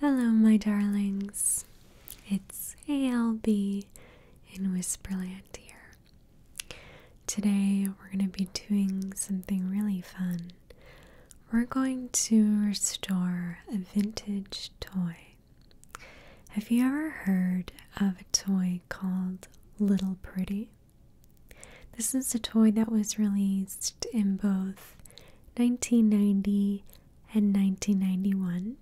Hello, my darlings. It's ALB in Whisperland here. Today, we're going to be doing something really fun. We're going to restore a vintage toy. Have you ever heard of a toy called Little Pretty? This is a toy that was released in both 1990 and 1991.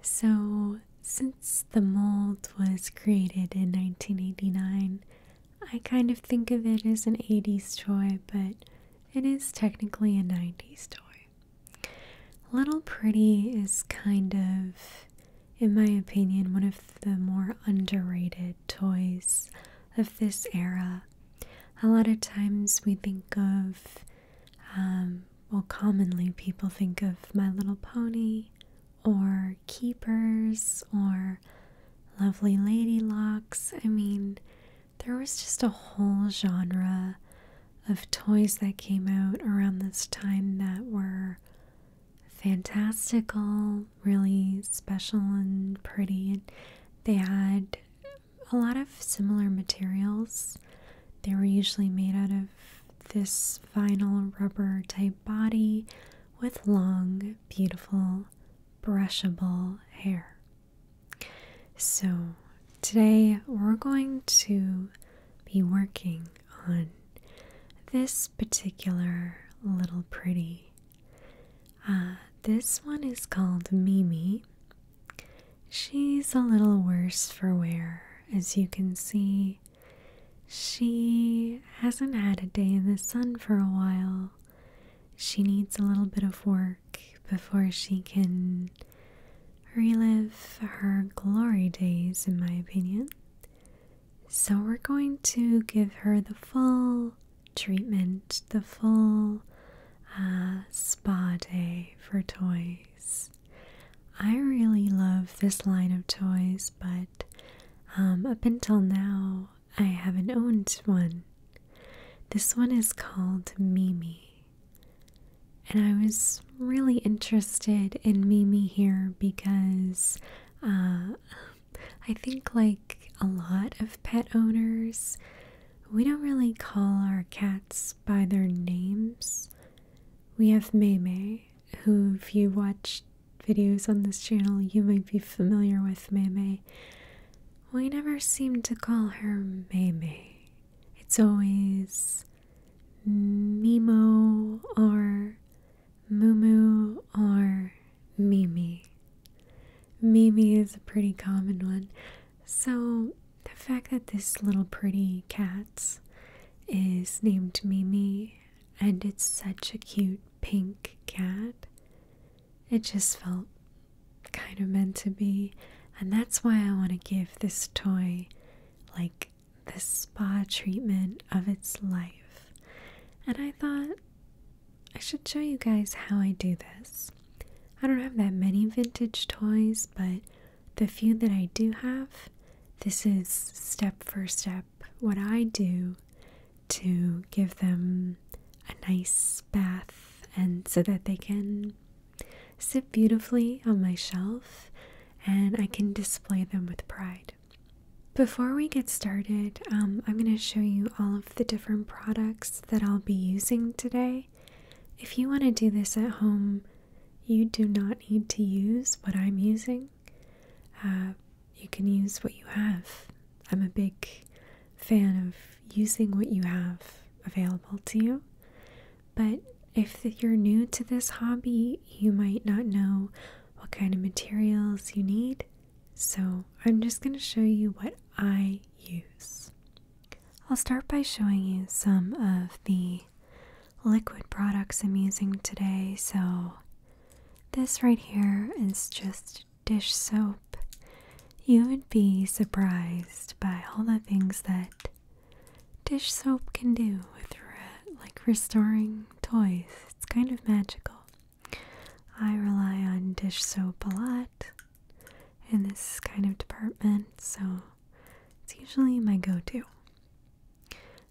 So, since the mold was created in 1989, I kind of think of it as an 80s toy, but it is technically a 90s toy. Little Pretty is kind of, in my opinion, one of the more underrated toys of this era. A lot of times we think of, um, well, commonly people think of My Little Pony or Keepers or Lovely Lady Locks. I mean, there was just a whole genre of toys that came out around this time that were fantastical, really special, and pretty. And they had a lot of similar materials. They were usually made out of this vinyl rubber type body with long, beautiful, brushable hair. So, today we're going to be working on this particular little pretty. Uh, this one is called Mimi, She's a little worse for wear, as you can see. She hasn't had a day in the sun for a while. She needs a little bit of work before she can relive her glory days, in my opinion. So, we're going to give her the full treatment, the full uh, spa day for toys. I really love this line of toys, but um, up until now, I haven't owned one. This one is called Mimi. And I was really interested in Mimi here because uh, I think, like a lot of pet owners, we don't really call our cats by their names. We have Mei Mei, who, if you watch videos on this channel, you might be familiar with Mei Mei. We never seem to call her Mei Mei. It's always Mimo or Mumu or Mimi. Mimi is a pretty common one. So, the fact that this little pretty cat is named Mimi and it's such a cute pink cat, it just felt kind of meant to be. And that's why I want to give this toy like the spa treatment of its life. And I thought I should show you guys how I do this. I don't have that many vintage toys, but the few that I do have, this is step for step what I do to give them a nice bath and so that they can sit beautifully on my shelf and I can display them with pride. Before we get started, um, I'm going to show you all of the different products that I'll be using today. If you want to do this at home, you do not need to use what I'm using. Uh, you can use what you have. I'm a big fan of using what you have available to you. But if you're new to this hobby, you might not know what kind of materials you need. So I'm just going to show you what I use. I'll start by showing you some of the liquid products I'm using today. So, this right here is just dish soap. You would be surprised by all the things that dish soap can do with re like restoring toys. It's kind of magical. I rely on dish soap a lot in this kind of department, so it's usually my go to.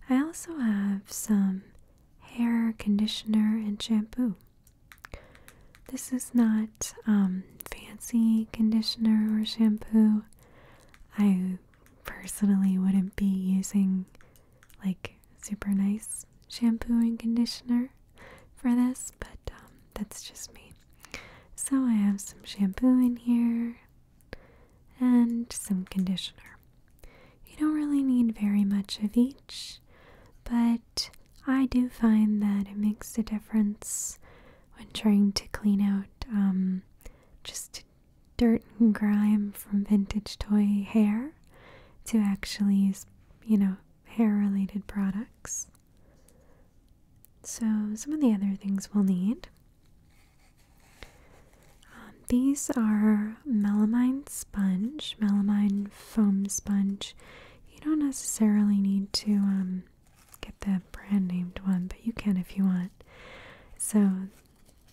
I also have some hair conditioner and shampoo. This is not um, fancy conditioner or shampoo. I personally wouldn't be using like super nice shampoo and conditioner for this, but um, that's just me. So I have some shampoo in here and some conditioner. You don't really need very much of each, but I do find that it makes a difference when trying to clean out um, just dirt and grime from vintage toy hair to actually use, you know, hair related products. So, some of the other things we'll need um, these are melamine sponge, melamine foam sponge. You don't necessarily need to um, get the brand named one, but you can if you want. So,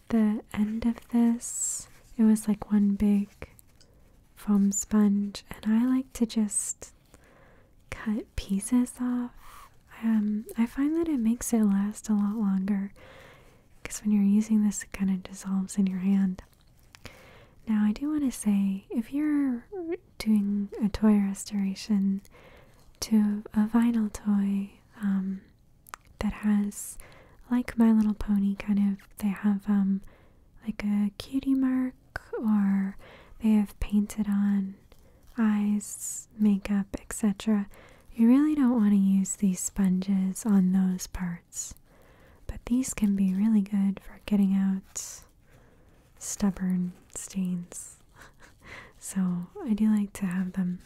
the end of this, it was like one big foam sponge, and I like to just cut pieces off. Um, I find that it makes it last a lot longer because when you're using this, it kind of dissolves in your hand. Now, I do want to say if you're doing a toy restoration to a vinyl toy um, that has, like My Little Pony, kind of, they have um, like a cutie mark or they have painted on eyes, makeup, etc. You really don't want to use these sponges on those parts. But these can be really good for getting out stubborn stains. so I do like to have them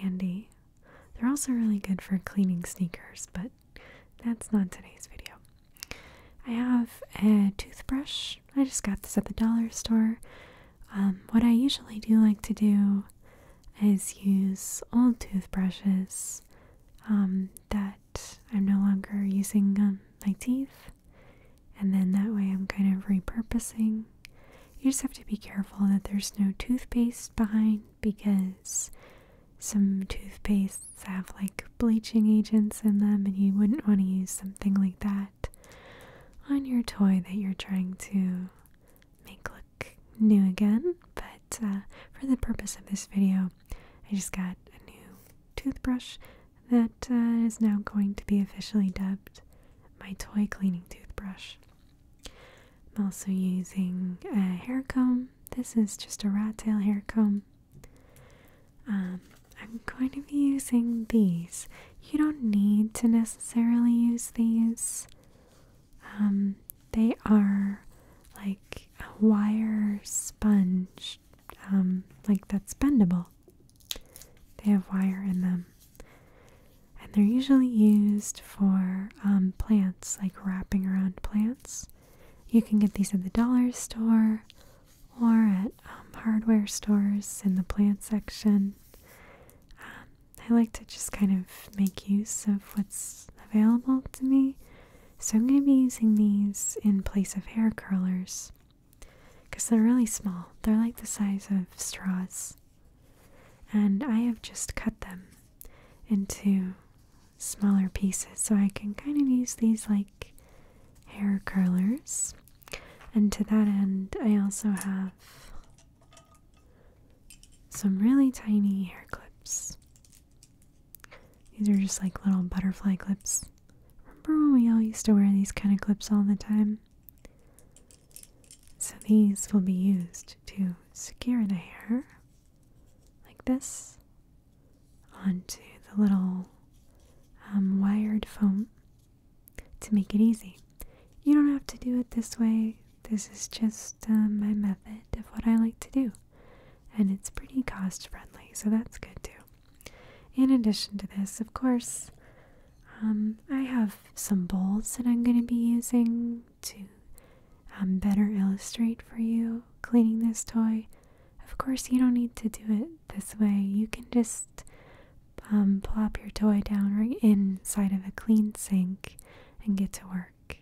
handy. They're also really good for cleaning sneakers, but that's not today's video. I have a toothbrush. I just got this at the dollar store. Um, what I usually do like to do is use old toothbrushes um, that I'm no longer using my teeth, and then that way I'm kind of repurposing. You just have to be careful that there's no toothpaste behind because some toothpastes have like bleaching agents in them, and you wouldn't want to use something like that on your toy that you're trying to make look new again. But uh, for the purpose of this video, I just got a new toothbrush that uh, is now going to be officially dubbed my toy cleaning toothbrush. I'm also using a hair comb. This is just a rat tail hair comb. Um, I'm going to be using these. You don't need to necessarily use these. Um, they are like a wire sponge, um, like that's bendable. They have wire in them. And they're usually used for plants, like wrapping around plants. You can get these at the dollar store or at um, hardware stores in the plant section. Um, I like to just kind of make use of what's available to me. So I'm going to be using these in place of hair curlers because they're really small. They're like the size of straws. And I have just cut them into smaller pieces so I can kind of use these like hair curlers. And to that end, I also have some really tiny hair clips. These are just like little butterfly clips. Remember when we all used to wear these kind of clips all the time? So these will be used to secure the hair like this onto the little um, wired foam to make it easy. You don't have to do it this way. This is just uh, my method of what I like to do. And it's pretty cost friendly, so that's good too. In addition to this, of course, um, I have some bowls that I'm going to be using to um, better illustrate for you cleaning this toy. Of course, you don't need to do it this way. You can just um, plop your toy down right inside of a clean sink and get to work.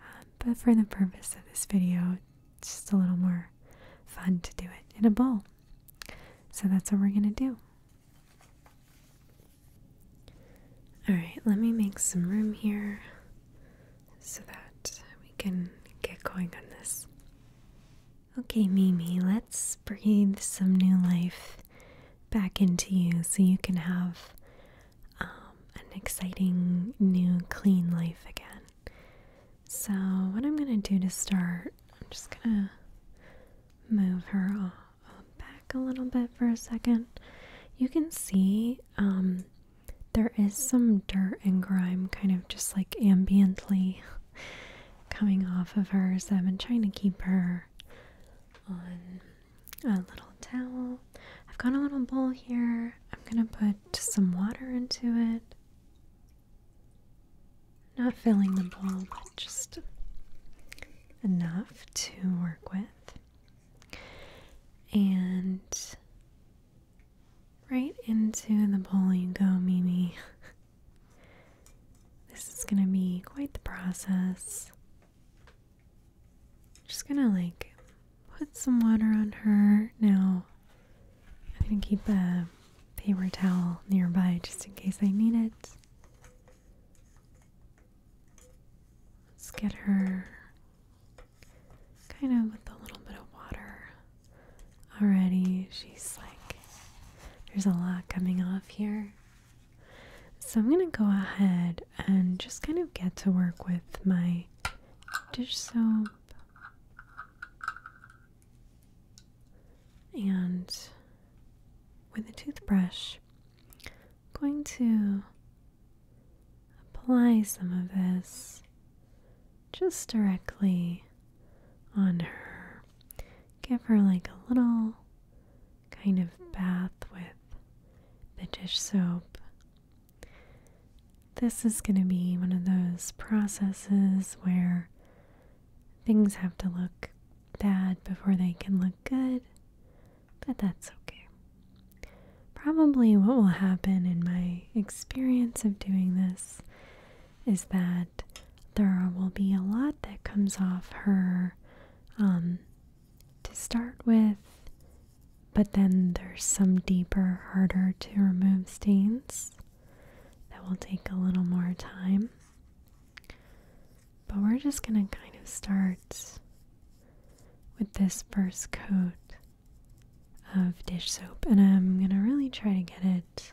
Um, but for the purpose of this video, it's just a little more fun to do it in a bowl. So that's what we're going to do. Alright, let me make some room here so that we can get going on this. Okay, Mimi, let's breathe some new life back into you so you can have um, an exciting, new, clean life again. So, what I'm going to do to start, I'm just going to move her back a little bit for a second. You can see um, there is some dirt and grime kind of just like ambiently coming off of her, so I've been trying to keep her on a little towel. I've got a little bowl here. I'm gonna put some water into it. Not filling the bowl, but just enough to work with. And right into the bowl you go, Mimi. This is gonna be quite the process. Just gonna like put some water on her. Now, I'm gonna keep a paper towel nearby just in case I need it. Let's get her kind of with a little bit of water already. She's like, there's a lot coming off here. So I'm going to go ahead and just kind of get to work with my dish soap. And with a toothbrush, going to apply some of this just directly on her give her like a little kind of bath with the dish soap. This is going to be one of those processes where things have to look bad before they can look good, but that's okay. Probably what will happen in my experience of doing this is that there will be a lot that comes off her um, to start with, but then there's some deeper, harder to remove stains that will take a little more time. But we're just going to kind of start with this first coat of dish soap, and I'm going to really try to get it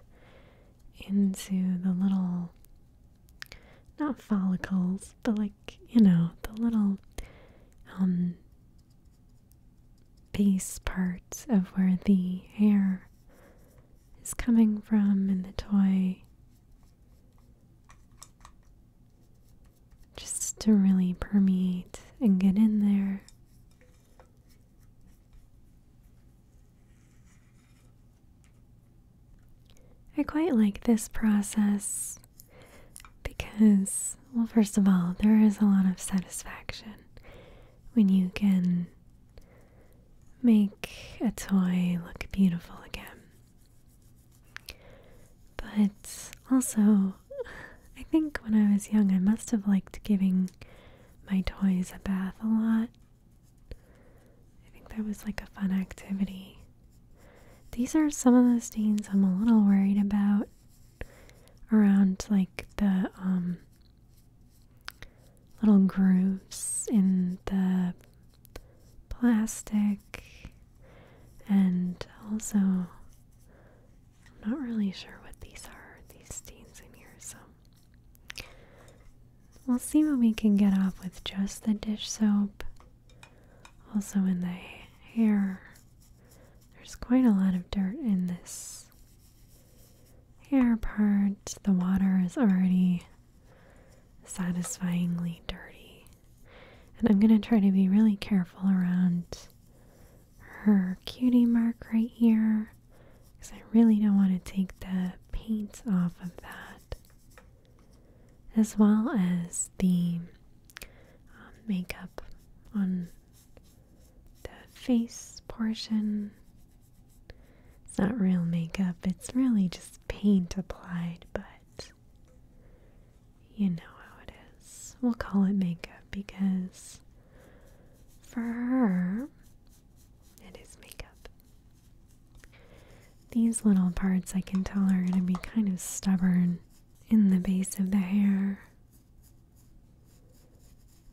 into the little not follicles, but like, you know, the little um, base parts of where the hair is coming from in the toy. Just to really permeate and get in there. I quite like this process because, well, first of all, there is a lot of satisfaction when you can make a toy look beautiful again. But also, I think when I was young, I must have liked giving my toys a bath a lot I think that was like a fun activity. These are some of the stains I'm a little worried about around like the um, little grooves in the plastic and also I'm not really sure what these are. These stains in here so. We'll see what we can get off with just the dish soap. Also, in the hair, there's quite a lot of dirt in this hair part. The water is already satisfyingly dirty. And I'm going to try to be really careful around her cutie mark right here because I really don't want to take the paint off of that as well as the um, makeup on the face portion. It's not real makeup, it's really just paint applied, but you know how it is. We'll call it makeup because for her, it is makeup. These little parts I can tell are going to be kind of stubborn in the base of the hair.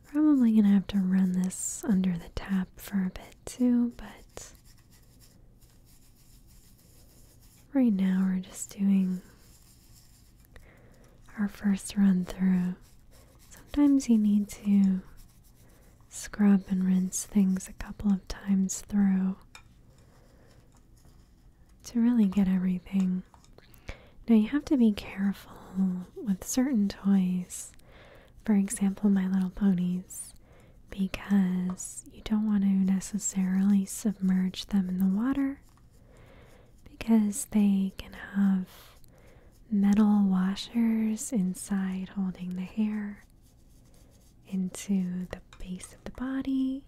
Probably going to have to run this under the tap for a bit too, but right now we're just doing our first run through. Sometimes you need to scrub and rinse things a couple of times through to really get everything. Now, you have to be careful with certain toys, for example, My Little Ponies, because you don't want to necessarily submerge them in the water because they can have metal washers inside holding the hair into the base of the body,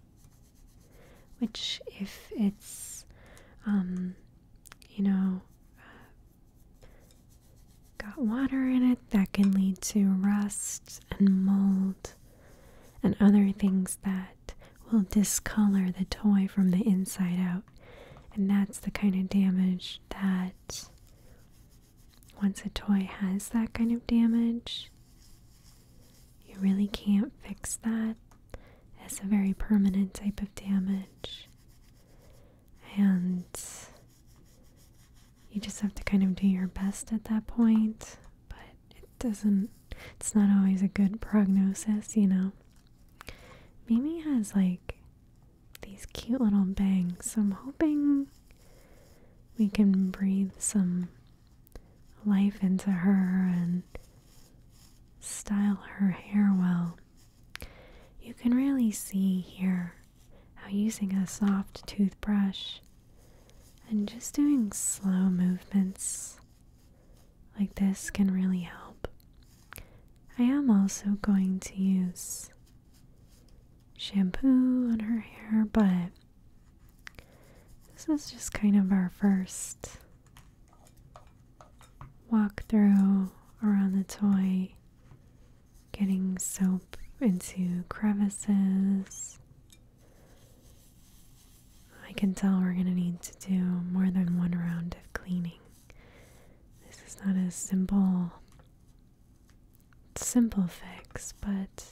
which, if it's, um, you know, uh, got water in it, that can lead to rust and mold and other things that will discolor the toy from the inside out. And that's the kind of damage that once a toy has that kind of damage, you really can't fix that. It's a very permanent type of damage. And you just have to kind of do your best at that point, but it doesn't, it's not always a good prognosis, you know. Mimi has like these cute little bangs. I'm hoping we can breathe some life into her and style her hair well. You can really see here how using a soft toothbrush and just doing slow movements like this can really help. I am also going to use shampoo on her hair, but this is just kind of our first walk through around the toy, getting soap into crevices. I can tell we're going to need to do more than one round of cleaning. This is not as simple simple fix, but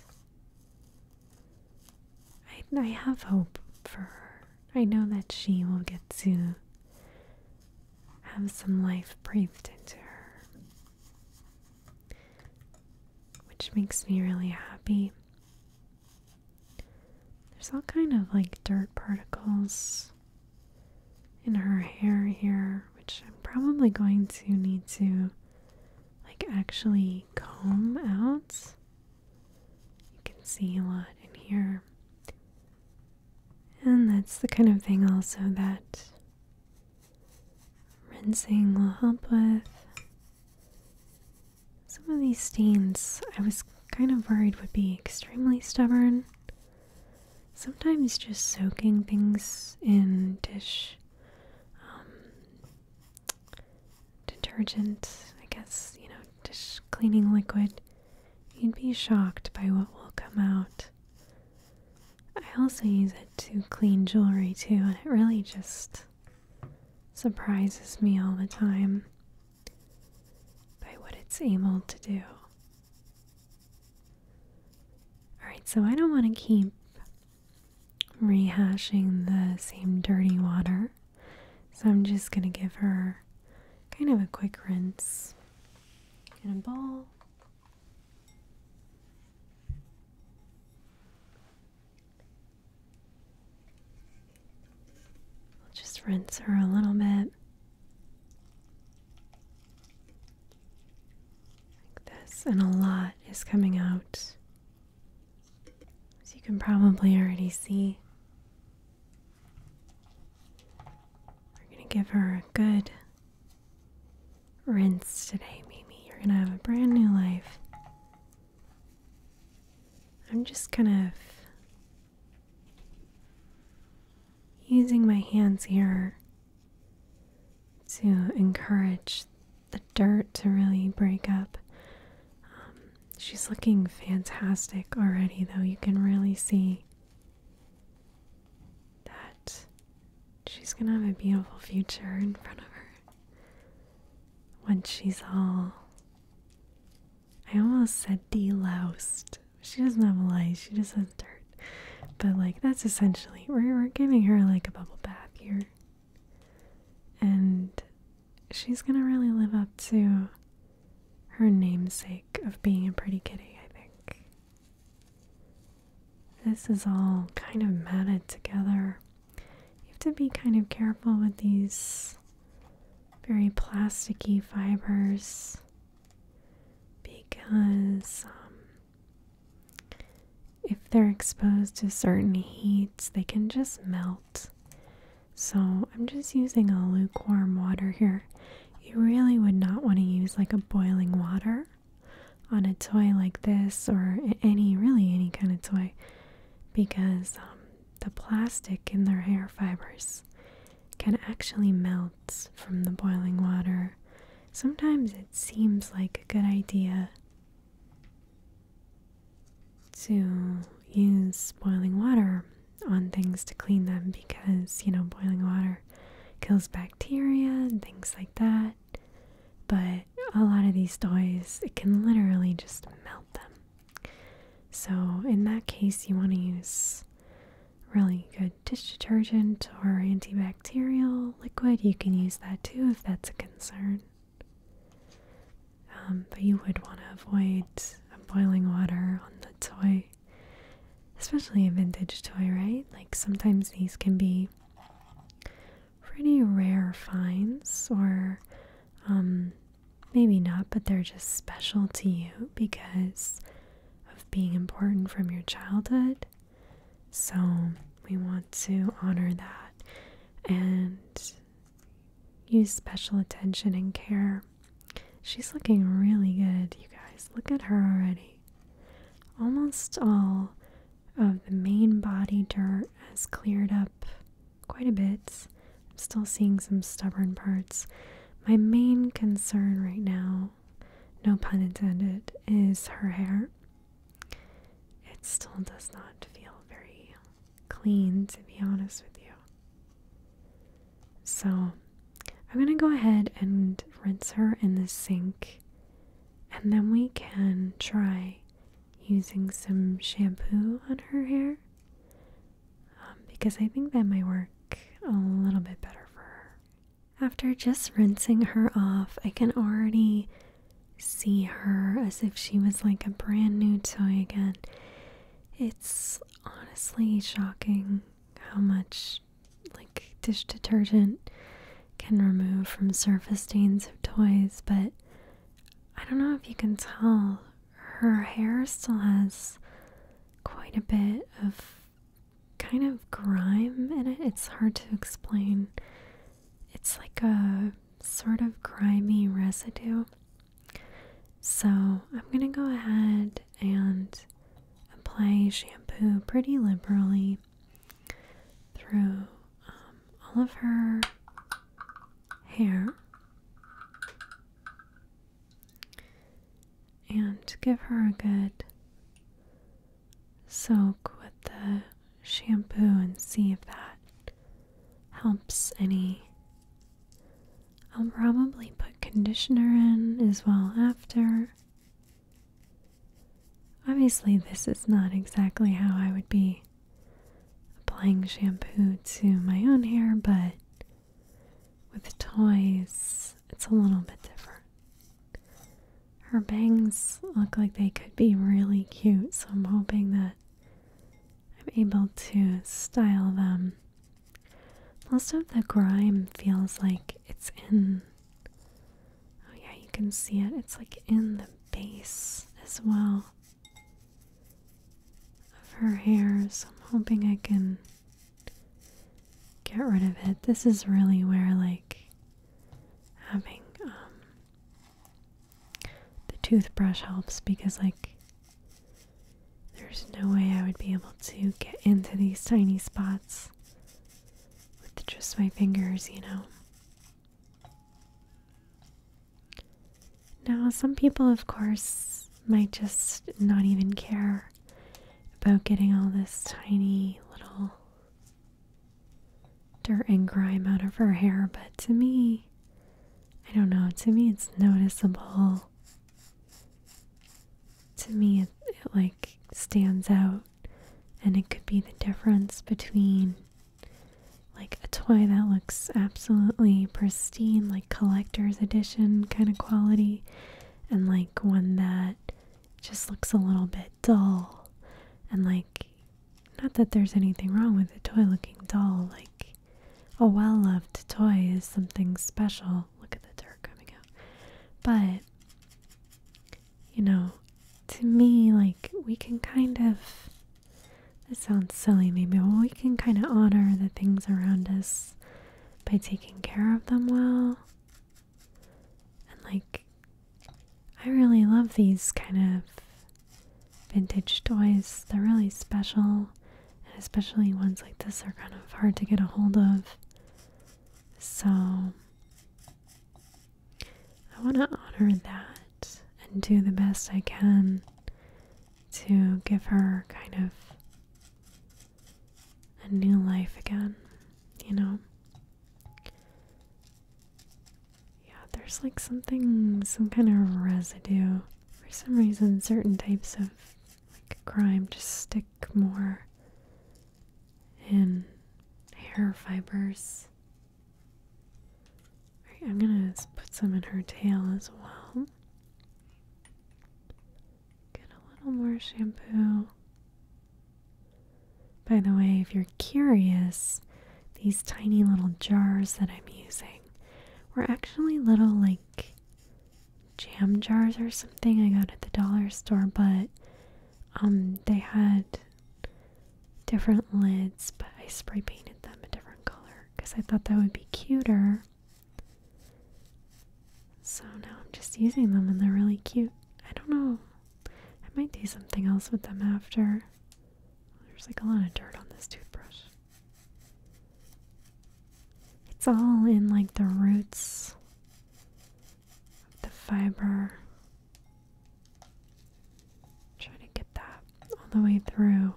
I, I have hope for her. I know that she will get to have some life breathed into her, which makes me really happy. There's all kind of like dirt particles in her hair here, which I'm probably going to need to like actually comb out. You can see a lot in here. And that's the kind of thing also that rinsing will help with. Some of these stains I was kind of worried would be extremely stubborn sometimes just soaking things in dish um, detergent, I guess, you know, dish cleaning liquid, you'd be shocked by what will come out. I also use it to clean jewelry too, and it really just surprises me all the time by what it's able to do. Alright, so I don't want to keep rehashing the same dirty water, so I'm just going to give her kind of a quick rinse in a bowl. just rinse her a little bit like this, and a lot is coming out, as you can probably already see. We're gonna give her a good rinse today, Mimi. You're gonna have a brand new life. I'm just kind of using my hands here to encourage the dirt to really break up. Um, she's looking fantastic already, though. You can really see that she's gonna have a beautiful future in front of her when she's all. I almost said de deloused. She doesn't have a lice, she just has dirt. But like that's essentially we're giving her like a bubble bath here. And she's gonna really live up to her namesake of being a pretty kitty, I think. This is all kind of matted together. You have to be kind of careful with these very plasticky fibers because um, if they're exposed to certain heats, they can just melt. So I'm just using a lukewarm water here. You really would not want to use like a boiling water on a toy like this or any really any kind of toy because um, the plastic in their hair fibers can actually melt from the boiling water sometimes it seems like a good idea to use boiling water on things to clean them because, you know, boiling water kills bacteria and things like that. But a lot of these toys, it can literally just melt them. So, in that case, you want to use really good dish detergent or antibacterial liquid, you can use that too if that's a concern. Um, but you would want to avoid boiling water on the toy, especially a vintage toy, right? Like sometimes these can be pretty rare finds, or um, maybe not, but they're just special to you because of being important from your childhood. So we want to honor that and use special attention and care. She's looking really good, you guys. Look at her already. Almost all of the main body dirt has cleared up quite a bit. I'm still seeing some stubborn parts. My main concern right now, no pun intended, is her hair. It still does not feel very clean, to be honest with you. So, I'm going to go ahead and rinse her in the sink, and then we can try using some shampoo on her hair um, because I think that might work a little bit better for her. After just rinsing her off, I can already see her as if she was like a brand new toy again. It's honestly shocking how much like dish detergent can remove from surface stains of toys, but I don't know if you can tell her hair still has quite a bit of kind of grime in it. It's hard to explain it's like a sort of grimy residue. So I'm going to go ahead and apply shampoo pretty liberally through um, all of her hair and give her a good soak with the shampoo and see if that helps any. I'll probably put conditioner in as well after. Obviously, this is not exactly how I would be applying shampoo to my own hair, but with toys, it's a little bit different. Her bangs look like they could be really cute, so I'm hoping that I'm able to style them. Most of the grime feels like it's in. Oh, yeah, you can see it. It's like in the base as well of her hair, so I'm hoping I can get rid of it. This is really where, like, having um, the toothbrush helps because, like, there's no way I would be able to get into these tiny spots with just my fingers, you know. Now, some people, of course, might just not even care about getting all this tiny little dirt and grime out of her hair, but to me, I don't know, to me it's noticeable. To me, it, like stands out, and it could be the difference between like a toy that looks absolutely pristine, like collector's edition kind of quality, and like one that just looks a little bit dull and like not that there's anything wrong with a toy looking dull, like, a well loved toy is something special. Look at the dirt coming out. But, you know, to me, like, we can kind of. This sounds silly, maybe, but we can kind of honor the things around us by taking care of them well. And, like, I really love these kind of vintage toys. They're really special, and especially ones like this are kind of hard to get a hold of. So I want to honor that and do the best I can to give her kind of a new life again, you know. Yeah, there's like something, some kind of residue. For some reason, certain types of like crime just stick more in hair fibers. Right, I'm gonna put some in her tail as well. Get a little more shampoo. By the way, if you're curious, these tiny little jars that I'm using were actually little like jam jars or something I got at the dollar store, but um they had different lids, but I spray painted them a different color because I thought that would be cuter. So now I'm just using them and they're really cute. I don't know. I might do something else with them after. There's like a lot of dirt on this toothbrush. It's all in like the roots of the fiber. Trying to get that all the way through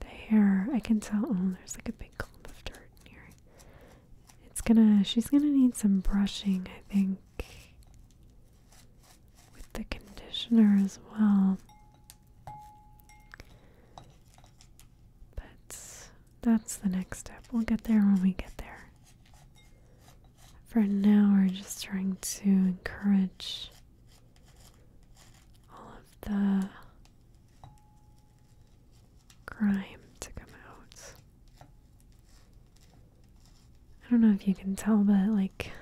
the hair. I can tell. Oh, there's like a big clump of dirt in here. It's gonna, she's gonna need some brushing, I think with the conditioner as well. But that's the next step. We'll get there when we get there. For now, we're just trying to encourage all of the grime to come out. I don't know if you can tell, but like,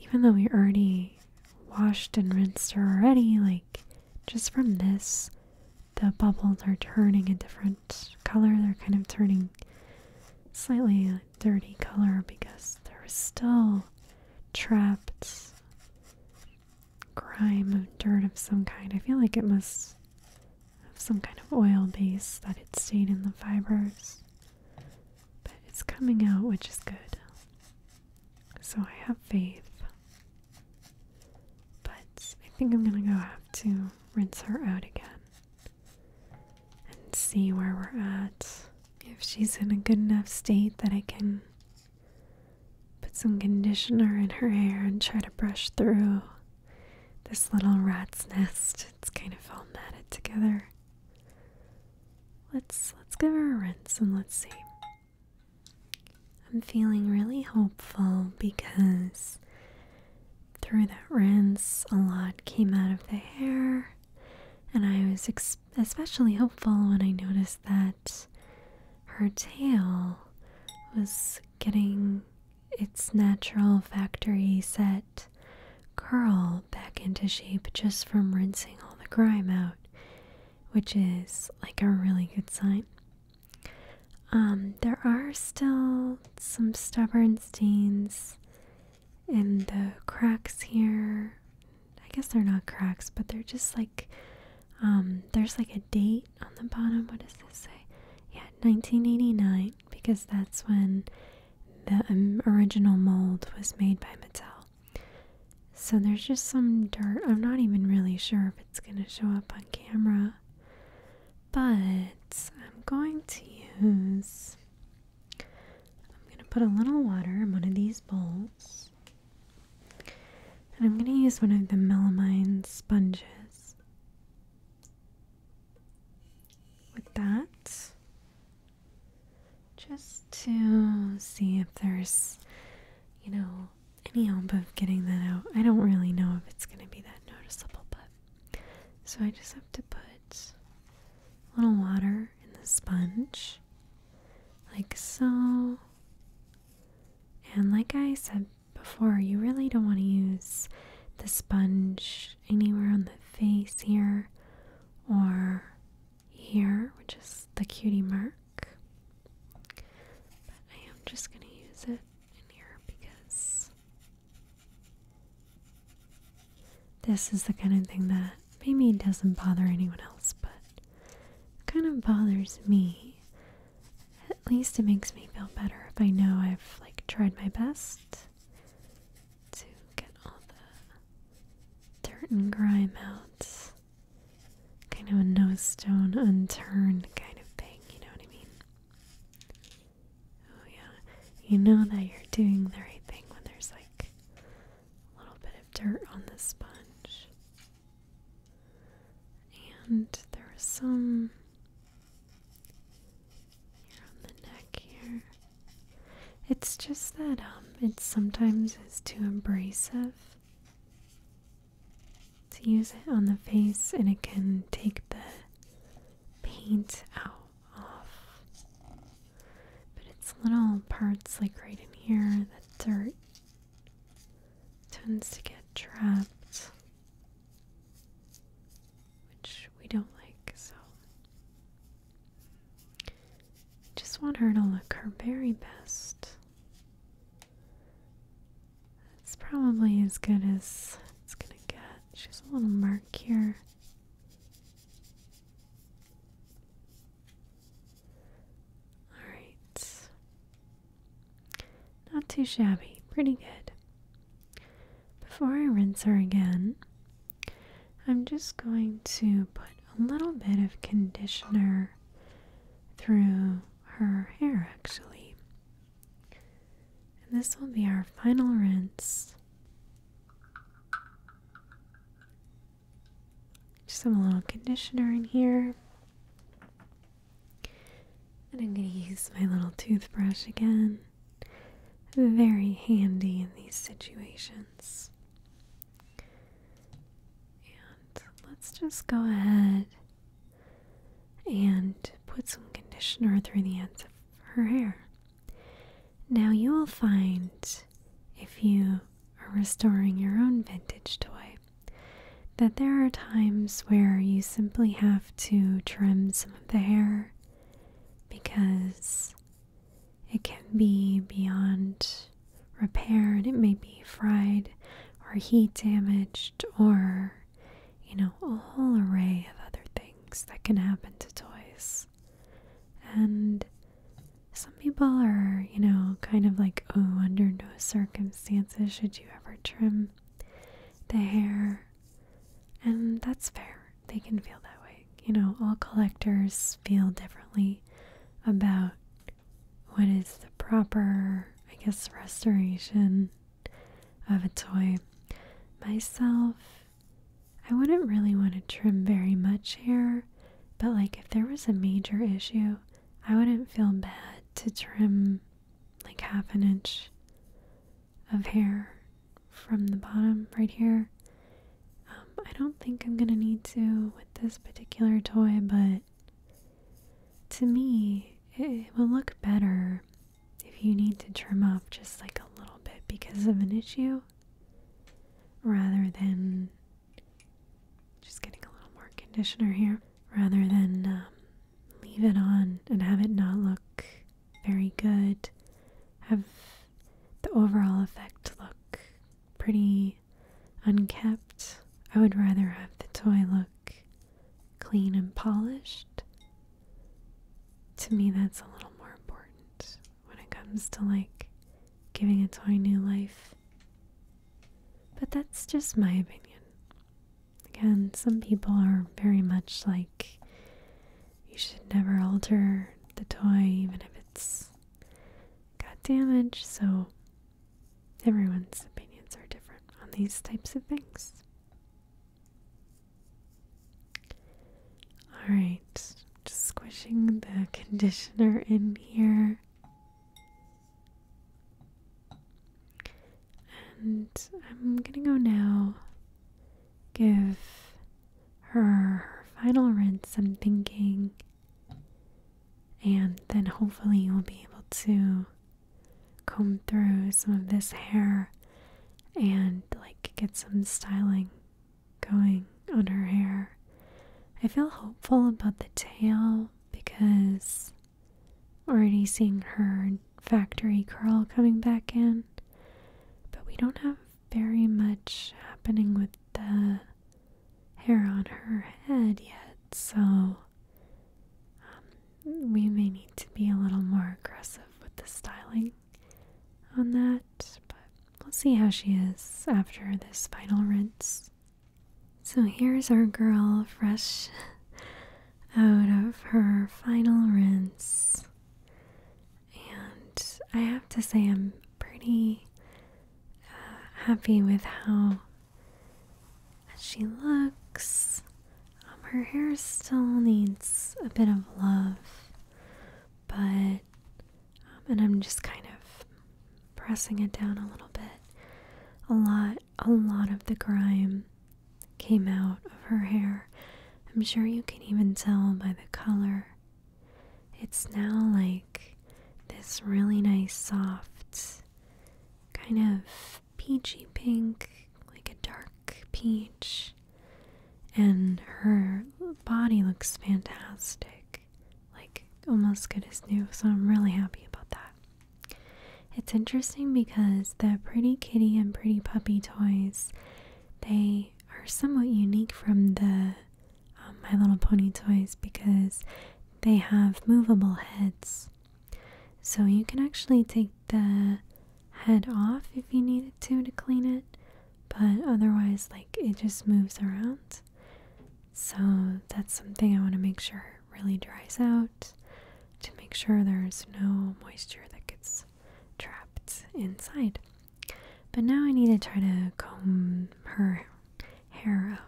even though we already washed and rinsed her already, like, just from this, the bubbles are turning a different color. They're kind of turning slightly dirty color because there's still trapped grime of dirt of some kind. I feel like it must of some kind of oil base that had stayed in the fibers. But it's coming out, which is good. So I have faith. But I think I'm gonna go have to rinse her out again and see where we're at. If she's in a good enough state that I can put some conditioner in her hair and try to brush through this little rat's nest. It's kind of all matted together. Let's let's give her a rinse and let's see. I'm feeling really hopeful because through that rinse a lot came out of the hair and I was especially hopeful when I noticed that her tail was getting its natural factory set curl back into shape just from rinsing all the grime out, which is like a really good sign. Um, there are still some stubborn stains in the cracks here. I guess they're not cracks, but they're just like um, there's like a date on the bottom. What does this say? Yeah, 1989 because that's when the um, original mold was made by Mattel. So there's just some dirt. I'm not even really sure if it's going to show up on camera. But I'm going to use. I'm going to put a little water in one of these bowls. And I'm going to use one of the melamine sponges with that just to see if there's you know any hope of getting that out i don't really know if it's going to be that noticeable but so i just have to put a little water in the sponge like so and like i said before you really don't want to use the sponge anywhere on the face here or here, which is the cutie mark. But I am just going to use it in here because this is the kind of thing that maybe doesn't bother anyone else, but it kind of bothers me. At least it makes me feel better if I know I've like tried my best to get all the dirt and grime out. Kind of a no stone unturned kind of thing, you know what I mean? Oh, yeah. You know that you're doing the right thing when there's like a little bit of dirt on the sponge. And there is some here on the neck here. It's just that um it sometimes is too abrasive to use it on the face and it can take the paint out off. But it's little parts like right in here, the dirt tends to get trapped which we don't like, so. I Just want her to look her very best. It's probably as good as it's gonna get. Just a little mark here. Alright. Not too shabby. Pretty good before I rinse her again, I'm just going to put a little bit of conditioner through her hair actually. And this will be our final rinse. Just some little conditioner in here. And I'm going to use my little toothbrush again very handy in these situations. And let's just go ahead and put some conditioner through the ends of her hair. Now, you will find if you are restoring your own vintage toy that there are times where you simply have to trim some of the hair because it can be beyond repair and it may be fried or heat damaged or, you know, a whole array of other things that can happen to toys. And some people are, you know, kind of like, oh, under no circumstances should you ever trim the hair and that's fair. They can feel that way. You know, all collectors feel differently about what is the proper, I guess, restoration of a toy. Myself, I wouldn't really want to trim very much here, but like if there was a major issue, I wouldn't feel bad to trim like half an inch of hair from the bottom right here. Um, I don't think I'm gonna need to with this particular toy, but to me, it, will look better if you need to trim off just like a little bit because of an issue rather than just getting a little more conditioner here rather than um, leave it on and have it not look very good have the overall effect look pretty unkept. I would rather have the toy look clean and polished. To me, that's a little more important when it comes to like giving a toy new life. But that's just my opinion. Again, some people are very much like you should never alter the toy, even if it's got damage. So, everyone's opinions are different on these types of things. Alright, just squishing the conditioner in here. And I'm gonna go now give her final rinse, I'm thinking. And then hopefully you'll be able to comb through some of this hair and like get some styling going on her hair. I feel hopeful about the tail because already seeing her factory curl coming back in, but we don't have very much happening with the hair on her head yet, so um, we may need to be a little more aggressive with the styling on that, but we'll see how she is after this final rinse. So here's our girl fresh out of her final rinse and I have to say, I'm pretty uh, happy with how she looks. Um, her hair still needs a bit of love, but, um, and I'm just kind of pressing it down a little bit. A lot, a lot of the grime came out of her hair. I'm sure you can even tell by the color it's now like this really nice, soft, kind of peachy pink, like a dark peach. And her body looks fantastic, like almost good as new. So I'm really happy about that. It's interesting because the Pretty Kitty and Pretty Puppy toys, they are somewhat unique from the um, My Little Pony toys because they have movable heads. So you can actually take the head off if you needed to to clean it, but otherwise, like it just moves around. So that's something I want to make sure really dries out to make sure there's no moisture that gets trapped inside. But now I need to try to comb her hair out.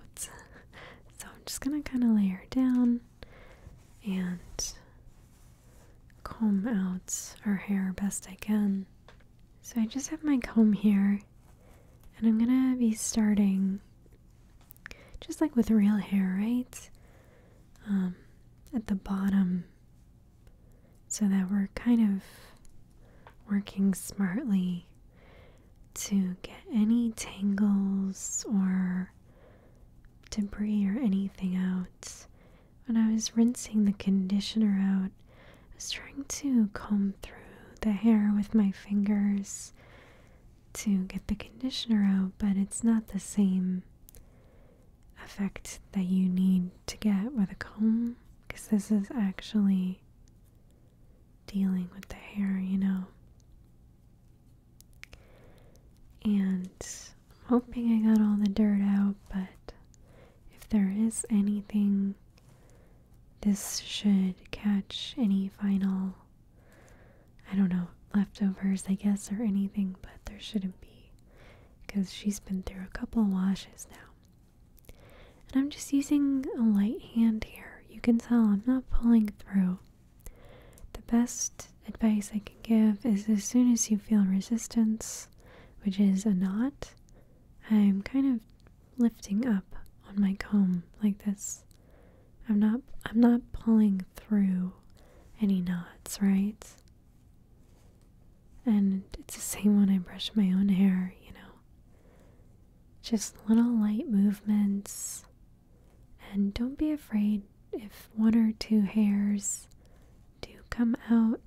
So I'm just gonna kind of lay her down and comb out her hair best I can. So I just have my comb here and I'm gonna be starting just like with real hair, right? Um, at the bottom so that we're kind of working smartly to get any tangles or debris or anything out. When I was rinsing the conditioner out, I was trying to comb through the hair with my fingers to get the conditioner out, but it's not the same effect that you need to get with a comb. Because this is actually dealing with the hair, you know. And I'm hoping I got all the dirt out, but if there is anything, this should catch any final, I don't know, leftovers, I guess, or anything, but there shouldn't be because she's been through a couple washes now. And I'm just using a light hand here. You can tell I'm not pulling through. The best advice I can give is as soon as you feel resistance, which is a knot, I'm kind of lifting up on my comb like this. I'm not I'm not pulling through any knots, right? And it's the same when I brush my own hair, you know. Just little light movements. And don't be afraid if one or two hairs do come out.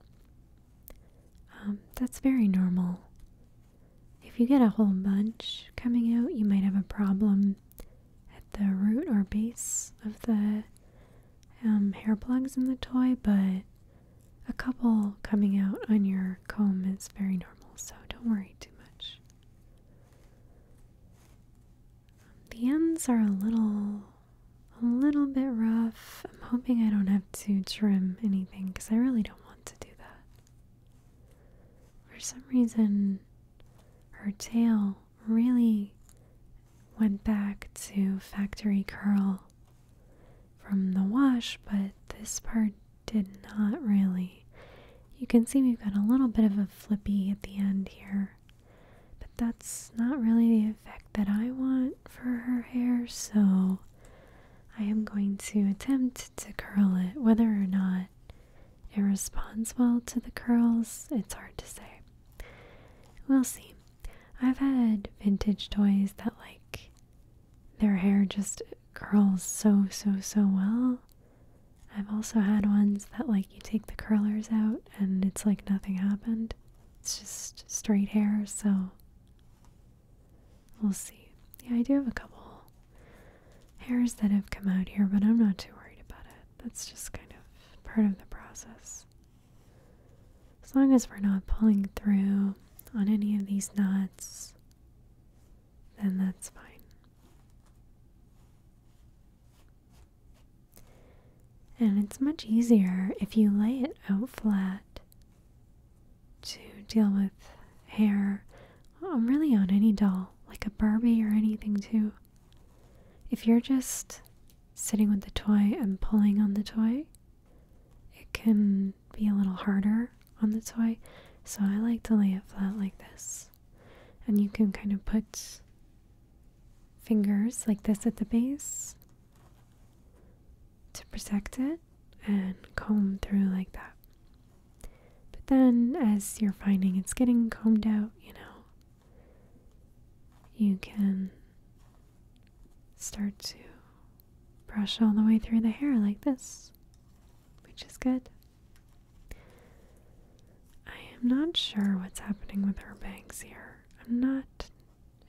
Um, that's very normal. If you get a whole bunch coming out, you might have a problem at the root or base of the um, hair plugs in the toy, but a couple coming out on your comb is very normal, so don't worry too much. The ends are a little a little bit rough. I'm hoping I don't have to trim anything because I really don't want to do that. For some reason, her tail really went back to factory curl from the wash, but this part did not really. You can see we've got a little bit of a flippy at the end here, but that's not really the effect that I want for her hair, so I am going to attempt to curl it. Whether or not it responds well to the curls, it's hard to say. We'll see. I've had vintage toys that like their hair just curls so, so, so well. I've also had ones that, like, you take the curlers out and it's like nothing happened. It's just straight hair, so we'll see. Yeah, I do have a couple hairs that have come out here, but I'm not too worried about it. That's just kind of part of the process. As long as we're not pulling through on any of these knots, then that's fine. And it's much easier if you lay it out flat to deal with hair, I'm um, really on any doll, like a Barbie or anything too. If you're just sitting with the toy and pulling on the toy, it can be a little harder on the toy. So I like to lay it flat like this. And you can kind of put fingers like this at the base to protect it and comb through like that. But then, as you're finding it's getting combed out, you know, you can start to brush all the way through the hair like this, which is good. I am not sure what's happening with her bangs here. I'm not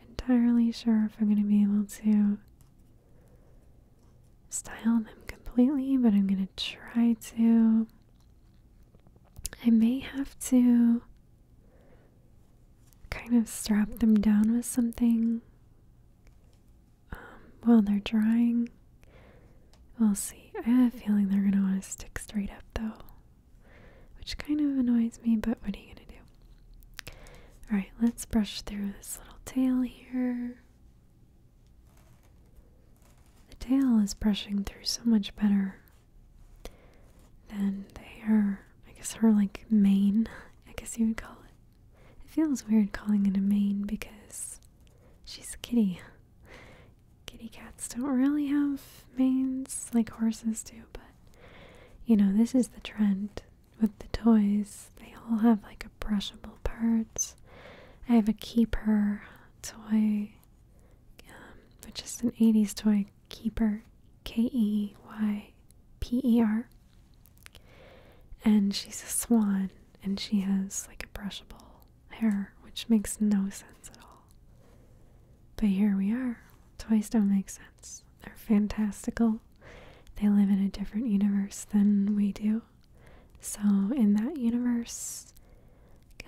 entirely sure if I'm going to be able to style them completely, but I'm going to try to. I may have to kind of strap them down with something um, while they're drying. We'll see. I have a feeling they're going to want to stick straight up though, which kind of annoys me, but what are you going to do? Alright, let's brush through this little tail here. The tail is brushing through so much better than the hair. I guess her like mane, I guess you would call it. It feels weird calling it a mane because she's a kitty. Kitty cats don't really have manes like horses do, but you know, this is the trend with the toys. They all have like a brushable part. I have a keeper toy, um, but just is an 80s toy, keeper, K E Y P E R. And she's a swan, and she has like a brushable hair, which makes no sense at all. But here we are. Toys don't make sense. They're fantastical. They live in a different universe than we do. So, in that universe,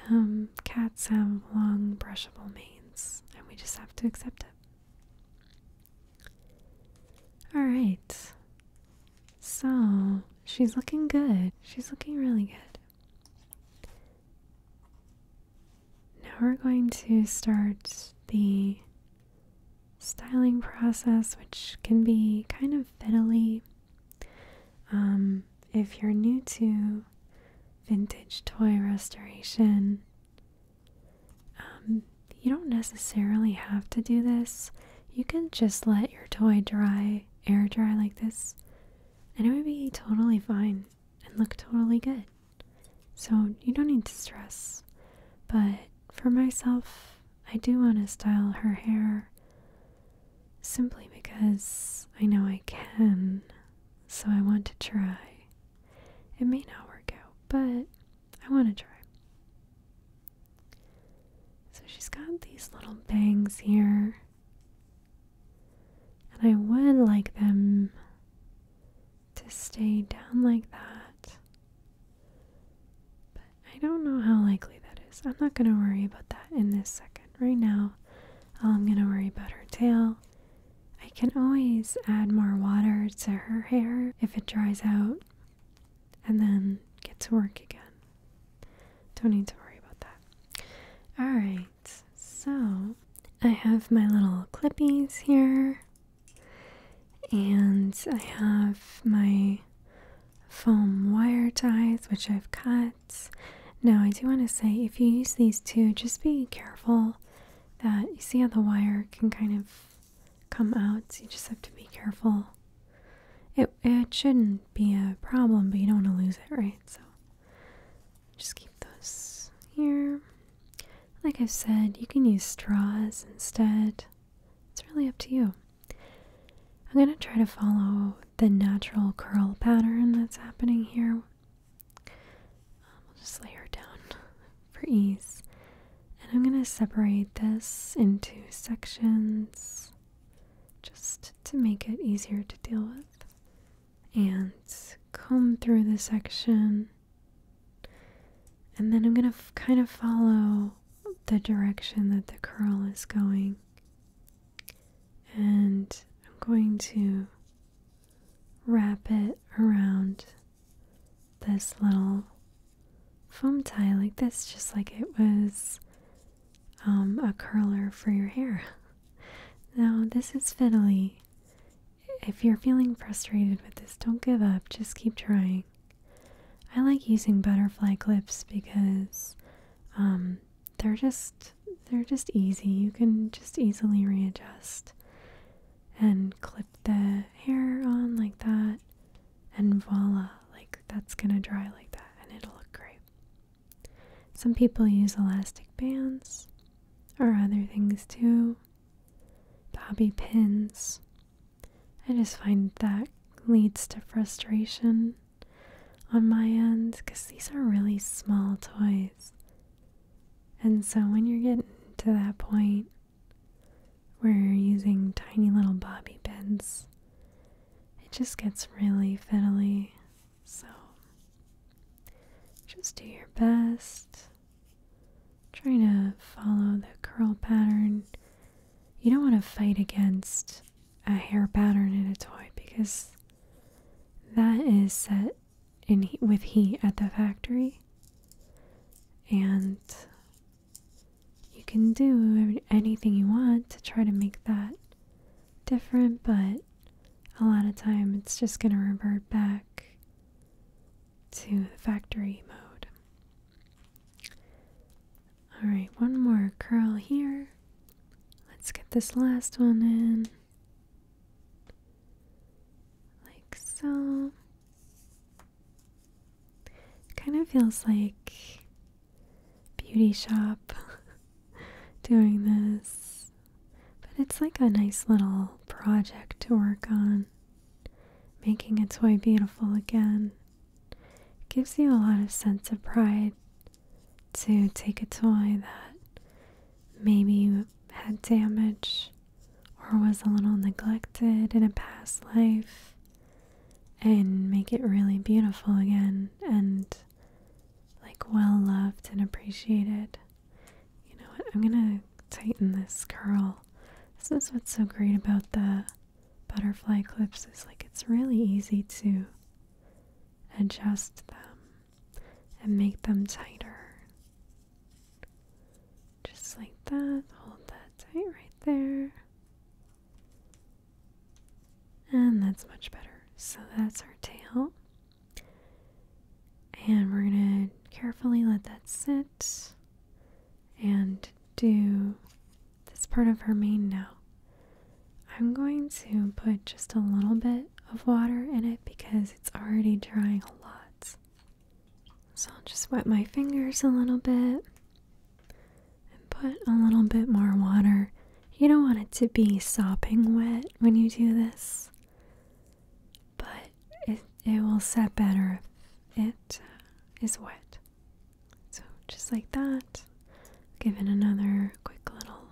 um, cats have long, brushable manes, and we just have to accept it. All right. So, she's looking good. She's looking really good. Now we're going to start the styling process, which can be kind of fiddly. Um, if you're new to vintage toy restoration, um, you don't necessarily have to do this. You can just let your toy dry, air dry like this, and it would be totally fine and look totally good. So you don't need to stress. But for myself, I do want to style her hair simply because I know I can, so I want to try. It may not work out, but I want to try. So she's got these little bangs here. And I would like them to stay down like that. But I don't know how likely that is. I'm not going to worry about that in this second. Right now, all I'm going to worry about her tail. I can always add more water to her hair if it dries out and then get to work again. Don't need to worry about that. Alright, so I have my little clippies here, and I have my foam wire ties, which I've cut. Now, I do want to say if you use these two, just be careful that you see how the wire can kind of come out, so you just have to be careful. It, it shouldn't be a problem, but you don't want to lose it, right? So just keep those here. Like i said, you can use straws instead. It's really up to you. I'm going to try to follow the natural curl pattern that's happening here. I'll just lay her down for ease. And I'm going to separate this into sections just to make it easier to deal with. And comb through the section. And then I'm going to kind of follow the direction that the curl is going. And I'm going to wrap it around this little foam tie like this, just like it was um, a curler for your hair. now, this is fiddly. If you're feeling frustrated with this, don't give up, just keep trying. I like using butterfly clips because um, they're just they're just easy. You can just easily readjust and clip the hair on like that and voila, like that's gonna dry like that and it'll look great. Some people use elastic bands or other things too, bobby pins. I just find that leads to frustration on my end because these are really small toys. And so when you're getting to that point, we're using tiny little bobby pins. It just gets really fiddly, so just do your best. Trying to follow the curl pattern. You don't want to fight against a hair pattern in a toy because that is set in with heat at the factory and you can do anything you want to try to make that different, but a lot of time it's just going to revert back to the factory mode. Alright, one more curl here. Let's get this last one in. Like so kind of feels like beauty shop doing this. But it's like a nice little project to work on. Making a toy beautiful again. gives you a lot of sense of pride to take a toy that maybe had damage or was a little neglected in a past life and make it really beautiful again and like well loved and appreciated. You know what? I'm gonna tighten this curl. This is what's so great about the butterfly clips is like it's really easy to adjust them and make them tighter. Just like that. Hold that tight right there. And that's much better. So that's our tail. And we're going to carefully let that sit and do this part of her mane now. I'm going to put just a little bit of water in it because it's already drying a lot. So I'll just wet my fingers a little bit and put a little bit more water. You don't want it to be sopping wet when you do this, but it, it will set better if it uh, is wet. So, just like that, give it another quick little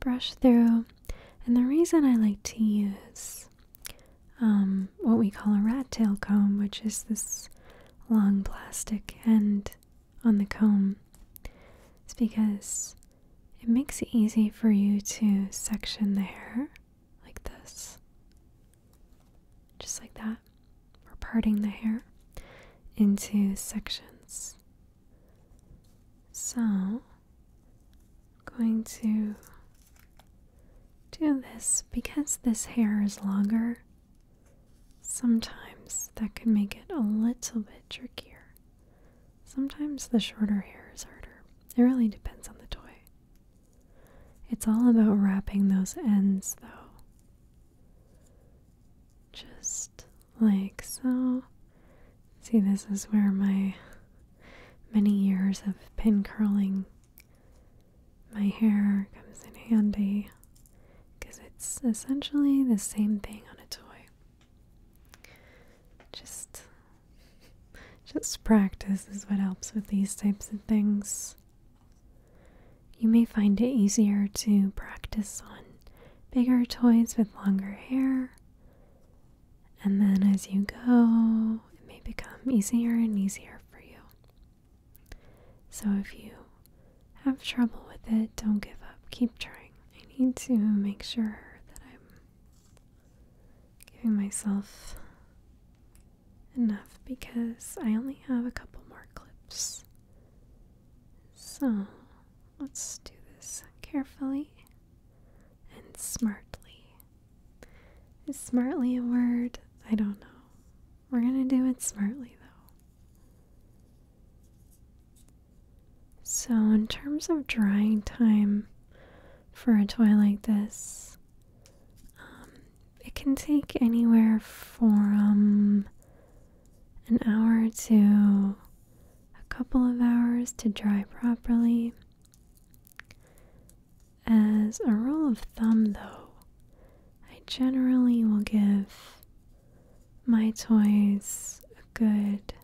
brush through. And the reason I like to use um, what we call a rat tail comb, which is this long plastic end on the comb. It's because it makes it easy for you to section the hair like this, just like that. We're parting the hair into sections. So, I'm going to do this because this hair is longer Sometimes that can make it a little bit trickier. Sometimes the shorter hair is harder. It really depends on the toy. It's all about wrapping those ends though. Just like so. See, this is where my many years of pin curling my hair comes in handy because it's essentially the same thing on a toy. Just just practice is what helps with these types of things. You may find it easier to practice on bigger toys with longer hair. And then as you go, it may become easier and easier for you. So if you have trouble with it, don't give up. Keep trying. I need to make sure that I'm giving myself enough because I only have a couple more clips. So let's do this carefully and smartly. Is smartly a word? I don't know. We're gonna do it smartly though. So, in terms of drying time for a toy like this, um, it can take anywhere from an hour to a couple of hours to dry properly. As a rule of thumb, though, I generally will give my toys a good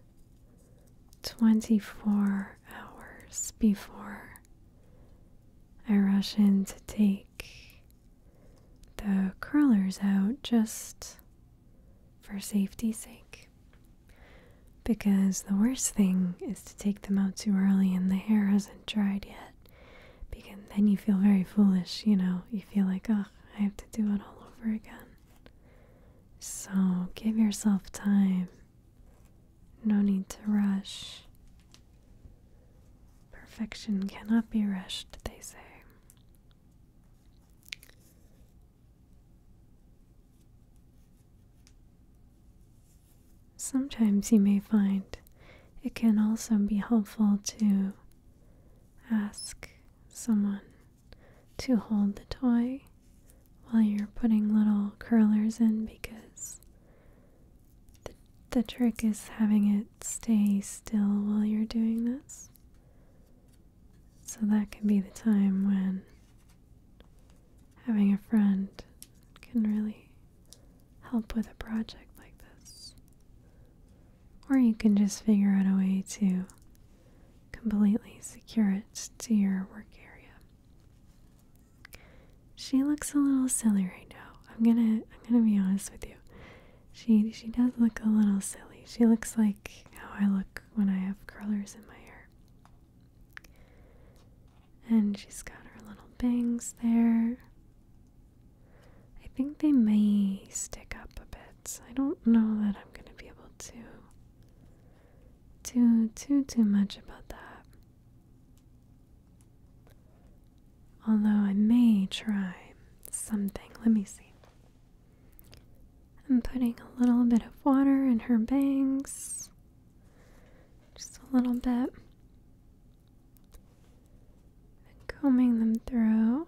24 hours before I rush in to take the curlers out just for safety's sake. Because the worst thing is to take them out too early and the hair hasn't dried yet that because then you feel very foolish, you know. You feel like, oh, I have to do it all over again. So give yourself time. No need to rush. Perfection cannot be rushed, they say. Sometimes you may find it can also be helpful to ask someone to hold the toy while you're putting little curlers in because the, the trick is having it stay still while you're doing this. So that can be the time when having a friend can really help with a project like this. Or you can just figure out a way to completely secure it to your work area. She looks a little silly right now. I'm gonna I'm gonna be honest with you. She she does look a little silly. She looks like how I look when I have curlers in my hair. And she's got her little bangs there. I think they may stick up a bit. I don't know that I'm going to be able to do too too much about that. Although I may try something. Let me see. I'm putting a little bit of water in her bangs. Just a little bit combing them through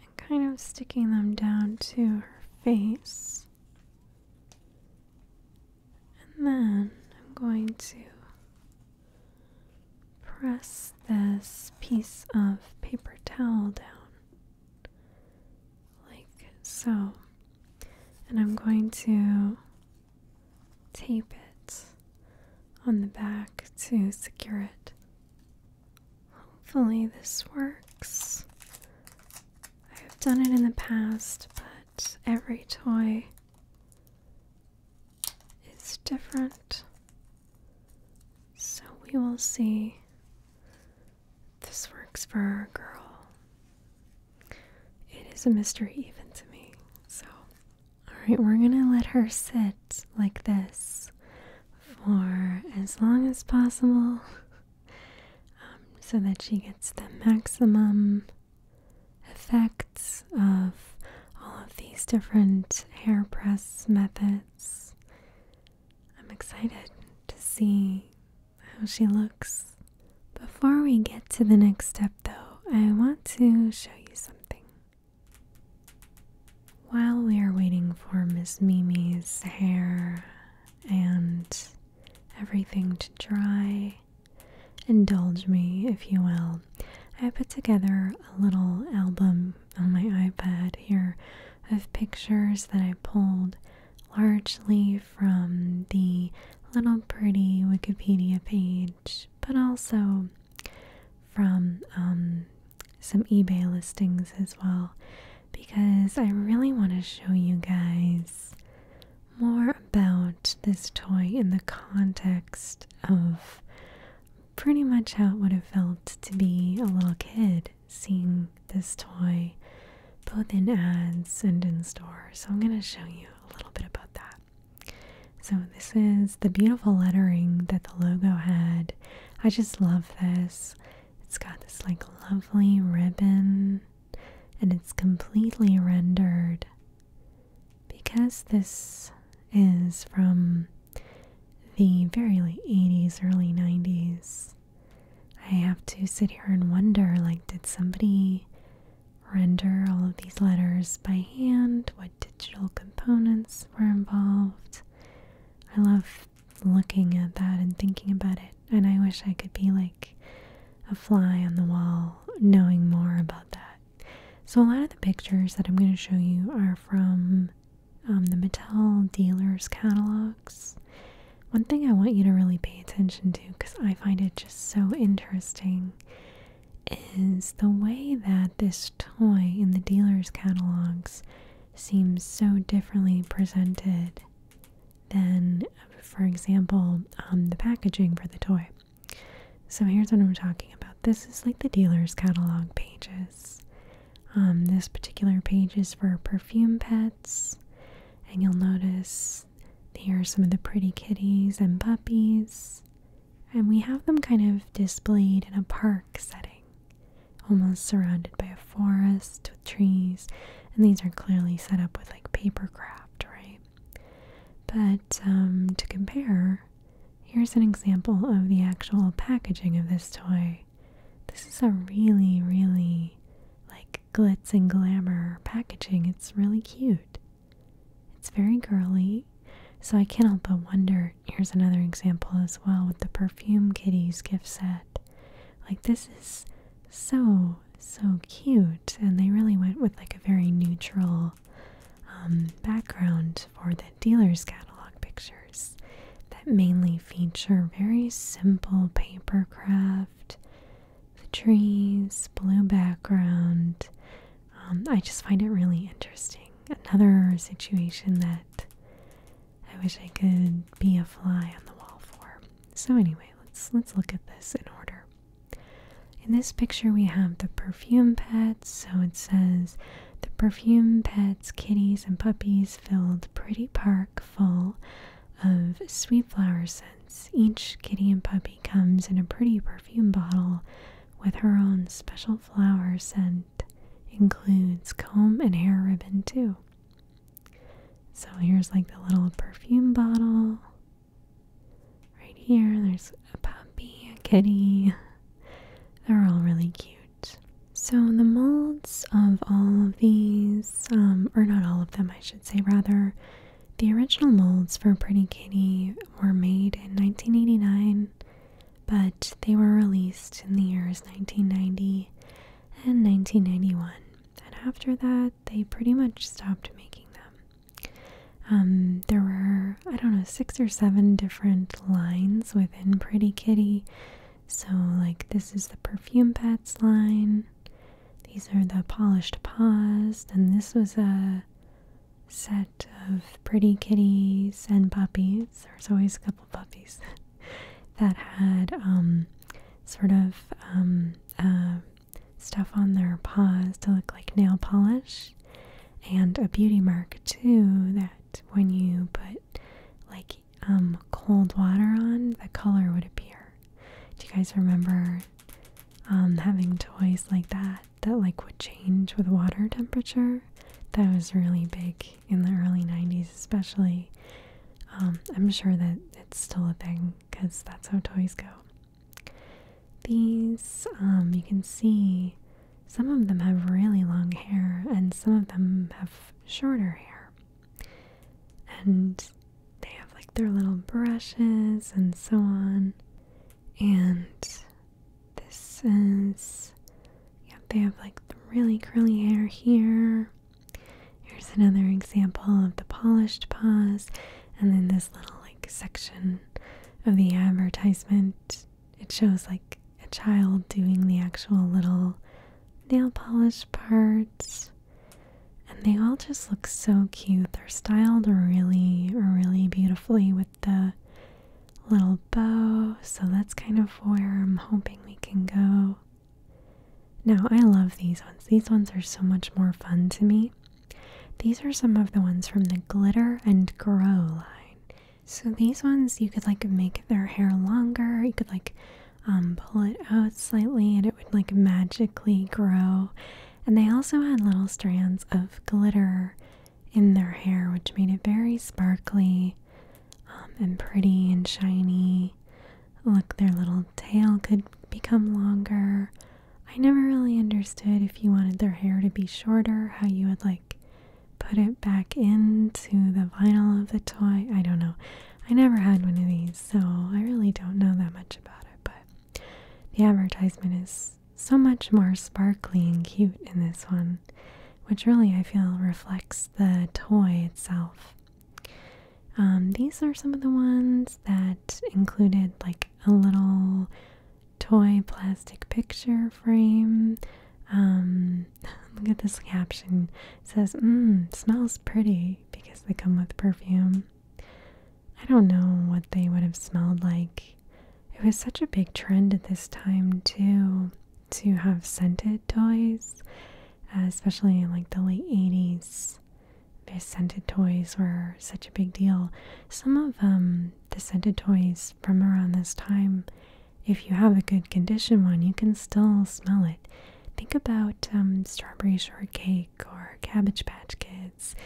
and kind of sticking them down to her face. And then I'm going to press this piece of paper towel down like so. And I'm going to tape it on the back to secure it. Hopefully, this works. I've done it in the past, but every toy is different. So, we will see this works for our girl. It is a mystery, even to me. So, Alright, we're gonna let her sit like this for as long as possible um, so that she gets the maximum effects of all of these different hair press methods. I'm excited to see how she looks. Before we get to the next step, though, I want to show you something. While we are waiting for Miss Mimi's hair and everything to dry, indulge me, if you will. I put together a little album on my iPad here of pictures that I pulled largely from the little pretty Wikipedia page but also from um, some eBay listings as well, because I really want to show you guys more about this toy in the context of pretty much how it would have felt to be a little kid seeing this toy both in ads and in store. So I'm going to show you a little bit about that. So, this is the beautiful lettering that the logo had. I just love this. It's got this like lovely ribbon and it's completely rendered. Because this is from the very late 80s, early 90s, I have to sit here and wonder like, did somebody render all of these letters by hand, what digital components were involved. I love looking at that and thinking about it, and I wish I could be like a fly on the wall knowing more about that. So, a lot of the pictures that I'm going to show you are from um, the Mattel dealers' catalogs. One thing I want you to really pay attention to because I find it just so interesting is the way that this toy in the dealer's catalogs seems so differently presented than, for example, um, the packaging for the toy. So here's what I'm talking about. This is like the dealer's catalog pages. Um, this particular page is for perfume pets, and you'll notice here are some of the pretty kitties and puppies and we have them kind of displayed in a park setting, almost surrounded by a forest with trees, and these are clearly set up with like paper craft, right? But um, to compare, here's an example of the actual packaging of this toy. This is a really, really like glitz and glamour packaging. It's really cute. It's very girly, so I can't help but wonder. Here's another example as well with the Perfume Kitties gift set. Like, this is so, so cute, and they really went with like a very neutral um, background for the dealer's catalog pictures that mainly feature very simple paper craft. The trees, blue background, um, I just find it really interesting. Another situation that I wish I could be a fly on the wall for. So anyway, let's let's look at this in order. In this picture we have the perfume pets, so it says the perfume pets, kitties and puppies filled pretty park full of sweet flower scents. Each kitty and puppy comes in a pretty perfume bottle with her own special flower scent, includes comb and hair ribbon too. So here's like the little perfume bottle. Right here, there's a puppy, a kitty. They're all really cute. So the molds of all these, um, or not all of them, I should say, rather, the original molds for Pretty Kitty were made in 1989 but they were released in the years 1990 and 1991. And after that, they pretty much stopped making them. Um, there were, I don't know, six or seven different lines within Pretty Kitty. So, like, this is the Perfume Pets line, these are the Polished Paws, and this was a set of pretty kitties and puppies. There was always a couple puppies that had um, sort of um, uh, stuff on their paws to look like nail polish and a beauty mark too that when you put like um, cold water on, the color would appear. Do you guys remember having toys like that? that like would change with water temperature. That was really big in the early 90s, especially. Um, I'm sure that it's still a thing because that's how toys go. These, um, you can see some of them have really long hair and some of them have shorter hair. And they have like their little brushes and so on. And this is yeah, they have like really curly hair here. Here's another example of the polished paws, and then this little like section of the advertisement. It shows like a child doing the actual little nail polish parts. And they all just look so cute. They're styled really, really beautifully with the little bow, so that's kind of where I'm hoping we can go. Now, I love these ones. These ones are so much more fun to me. These are some of the ones from the Glitter and Grow line. So these ones, you could like make their hair longer, you could like um, pull it out slightly and it would like magically grow. And they also had little strands of glitter in their hair, which made it very sparkly um, and pretty and shiny. Look, their little tail could become longer. I never really understood if you wanted their hair to be shorter, how you would like put it back into the vinyl of the toy. I don't know. I never had one of these, so I really don't know that much about it, but the advertisement is so much more sparkly and cute in this one, which really I feel reflects the toy itself. Um, these are some of the ones that included like a little toy plastic picture frame. Um, look at this caption. says, mm, smells pretty because they come with perfume. I don't know what they would have smelled like it was such a big trend at this time too to have scented toys, uh, especially like the late 80s. The scented toys were such a big deal. Some of um, the scented toys from around this time, if you have a good condition one, you can still smell it. Think about um, strawberry shortcake or cabbage patch kids.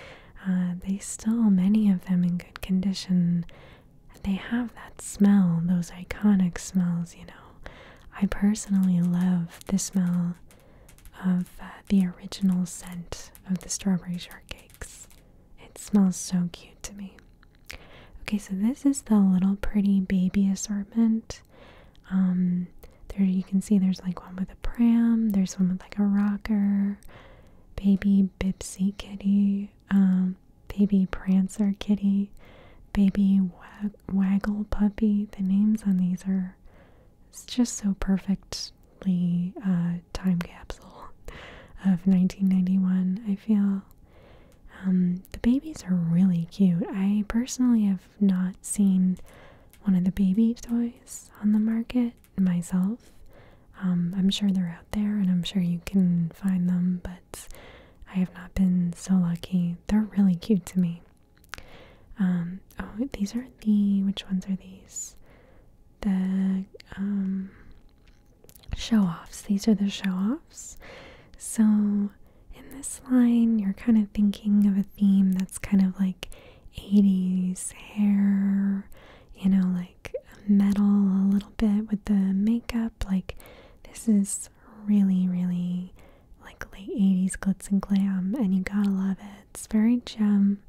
Uh, they still, many of them in good condition, they have that smell, those iconic smells, you know. I personally love the smell of uh, the original scent of the strawberry shortcakes. It smells so cute to me. Okay, so this is the little pretty baby assortment. Um, there you can see there's like one with a pram, there's one with like a rocker, baby Bipsy kitty, um, baby Prancer kitty, baby Waggle puppy. The names on these are it's just so perfectly uh, time capsule of 1991. I feel um, the babies are really cute. I personally have not seen one of the baby toys on the market myself. Um, I'm sure they're out there and I'm sure you can find them, but I have not been so lucky. They're really cute to me. Um, oh, these are the, which ones are these? The um, show offs. These are the show offs. So in this line, you're kind of thinking of a theme that's kind of like 80s hair you know, like metal a little bit with the makeup. Like, this is really, really like late 80s glitz and glam, and you gotta love it. It's very gem.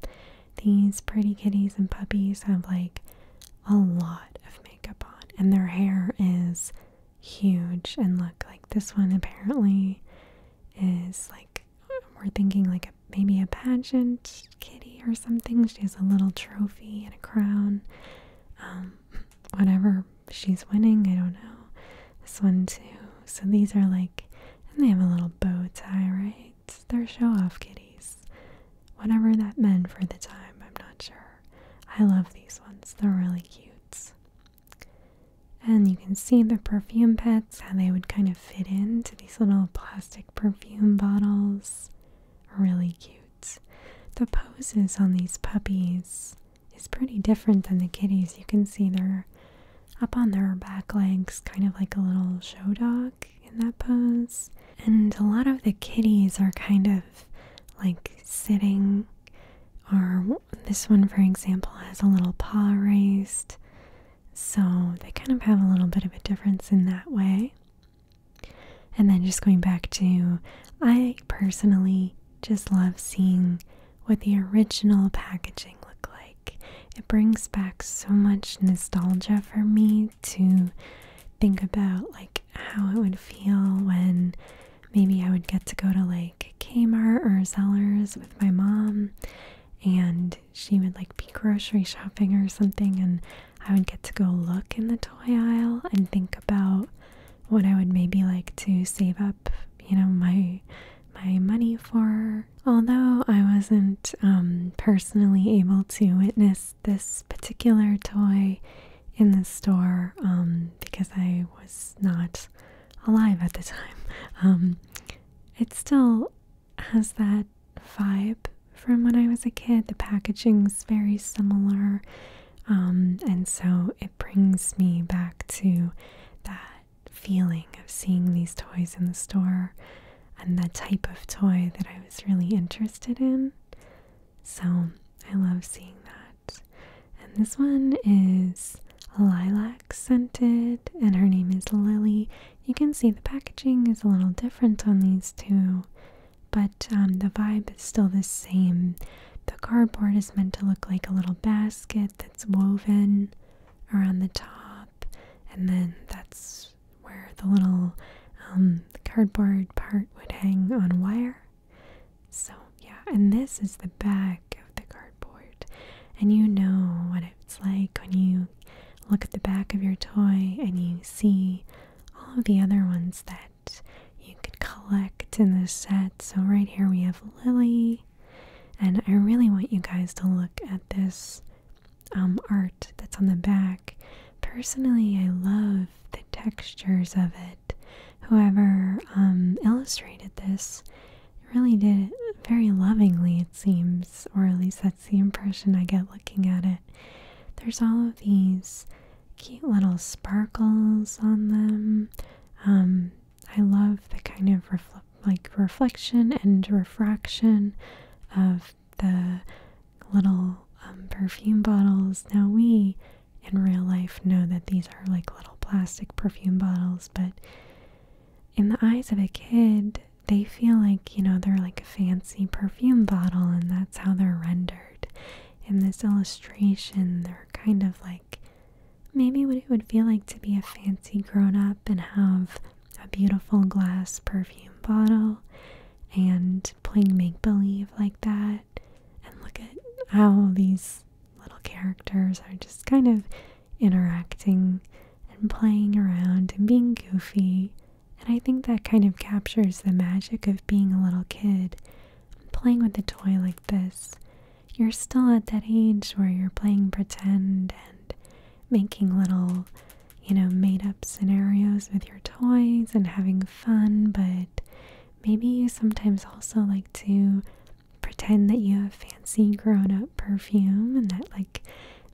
These pretty kitties and puppies have like a lot of makeup on, and their hair is huge. And look, like this one apparently is like we're thinking like maybe a pageant kitty or something. She has a little trophy and a crown. Um, whatever she's winning, I don't know. This one too. So these are like, and they have a little bow tie, right? They're show off kitties. Whatever that meant for the time, I'm not sure. I love these ones, they're really cute. And you can see the perfume pets, how they would kind of fit into these little plastic perfume bottles. Really cute the poses on these puppies is pretty different than the kitties. You can see they're up on their back legs, kind of like a little show dog in that pose. And a lot of the kitties are kind of like sitting, or this one, for example, has a little paw raised. So they kind of have a little bit of a difference in that way. And then just going back to, I personally just love seeing what the original packaging looked like. It brings back so much nostalgia for me to think about like how it would feel when maybe I would get to go to like Kmart or Zellers with my mom and she would like be grocery shopping or something and I would get to go look in the toy aisle and think about what I would maybe like to save up, you know, my my money for. Although I wasn't um, personally able to witness this particular toy in the store um, because I was not alive at the time, um, it still has that vibe from when I was a kid. The packaging is very similar, um, and so it brings me back to that feeling of seeing these toys in the store and the type of toy that I was really interested in. So I love seeing that. And this one is lilac scented, and her name is Lily. You can see the packaging is a little different on these two but um, the vibe is still the same. The cardboard is meant to look like a little basket that's woven around the top, and then that's where the little um, cardboard part would hang on wire. So, yeah, and this is the back of the cardboard, and you know what it's like when you look at the back of your toy and you see all of the other ones that you could collect in this set. So, right here we have Lily, and I really want you guys to look at this um, art that's on the back. Personally, I love the textures of it. Whoever um, illustrated this really did it very lovingly, it seems, or at least that's the impression I get looking at it. There's all of these cute little sparkles on them. Um, I love the kind of like reflection and refraction of the little um, perfume bottles. Now we in real life know that these are like little plastic perfume bottles, but in the eyes of a kid, they feel like, you know, they're like a fancy perfume bottle and that's how they're rendered in this illustration, they're kind of like maybe what it would feel like to be a fancy grown up and have a beautiful glass perfume bottle and playing make believe like that. And look at how these little characters are just kind of interacting and playing around and being goofy. And I think that kind of captures the magic of being a little kid playing with a toy like this, you're still at that age where you're playing pretend and making little, you know, made up scenarios with your toys and having fun, but maybe you sometimes also like to pretend that you have fancy grown up perfume and that, like,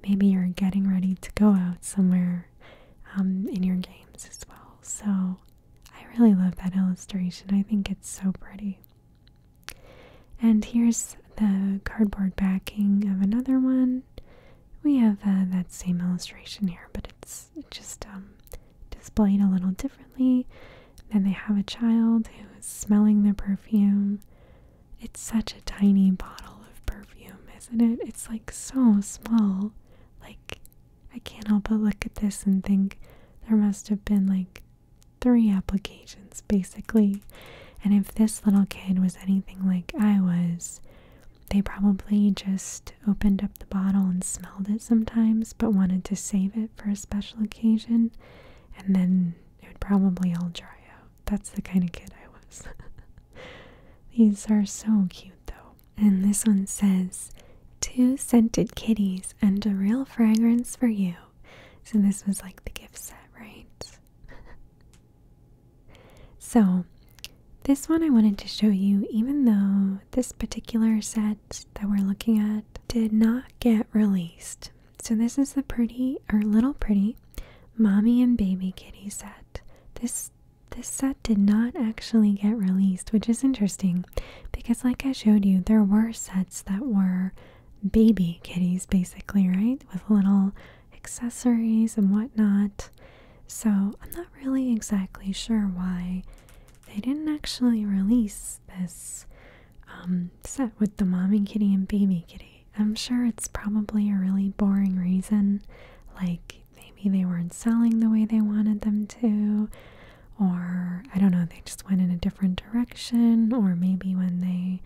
maybe you're getting ready to go out somewhere um, in your games as well. So, I really love that illustration. I think it's so pretty. And here's the cardboard backing of another one. We have uh, that same illustration here, but it's just um, displayed a little differently. Then they have a child who is smelling the perfume. It's such a tiny bottle of perfume, isn't it? It's like so small. Like I can't help but look at this and think there must have been like three applications basically. And if this little kid was anything like I was, they probably just opened up the bottle and smelled it sometimes, but wanted to save it for a special occasion, and then it would probably all dry out. That's the kind of kid I was. These are so cute, though. And this one says, Two scented kitties and a real fragrance for you. So this was like the gift set, right? so this one I wanted to show you, even though this particular set that we're looking at did not get released. So this is the pretty or little pretty mommy and baby kitty set. This this set did not actually get released, which is interesting because, like I showed you, there were sets that were baby kitties basically, right? With little accessories and whatnot. So, I'm not really exactly sure why they didn't actually release this um, set with the mommy kitty and baby kitty. I'm sure it's probably a really boring reason, like maybe they weren't selling the way they wanted them to, or I don't know, they just went in a different direction, or maybe when they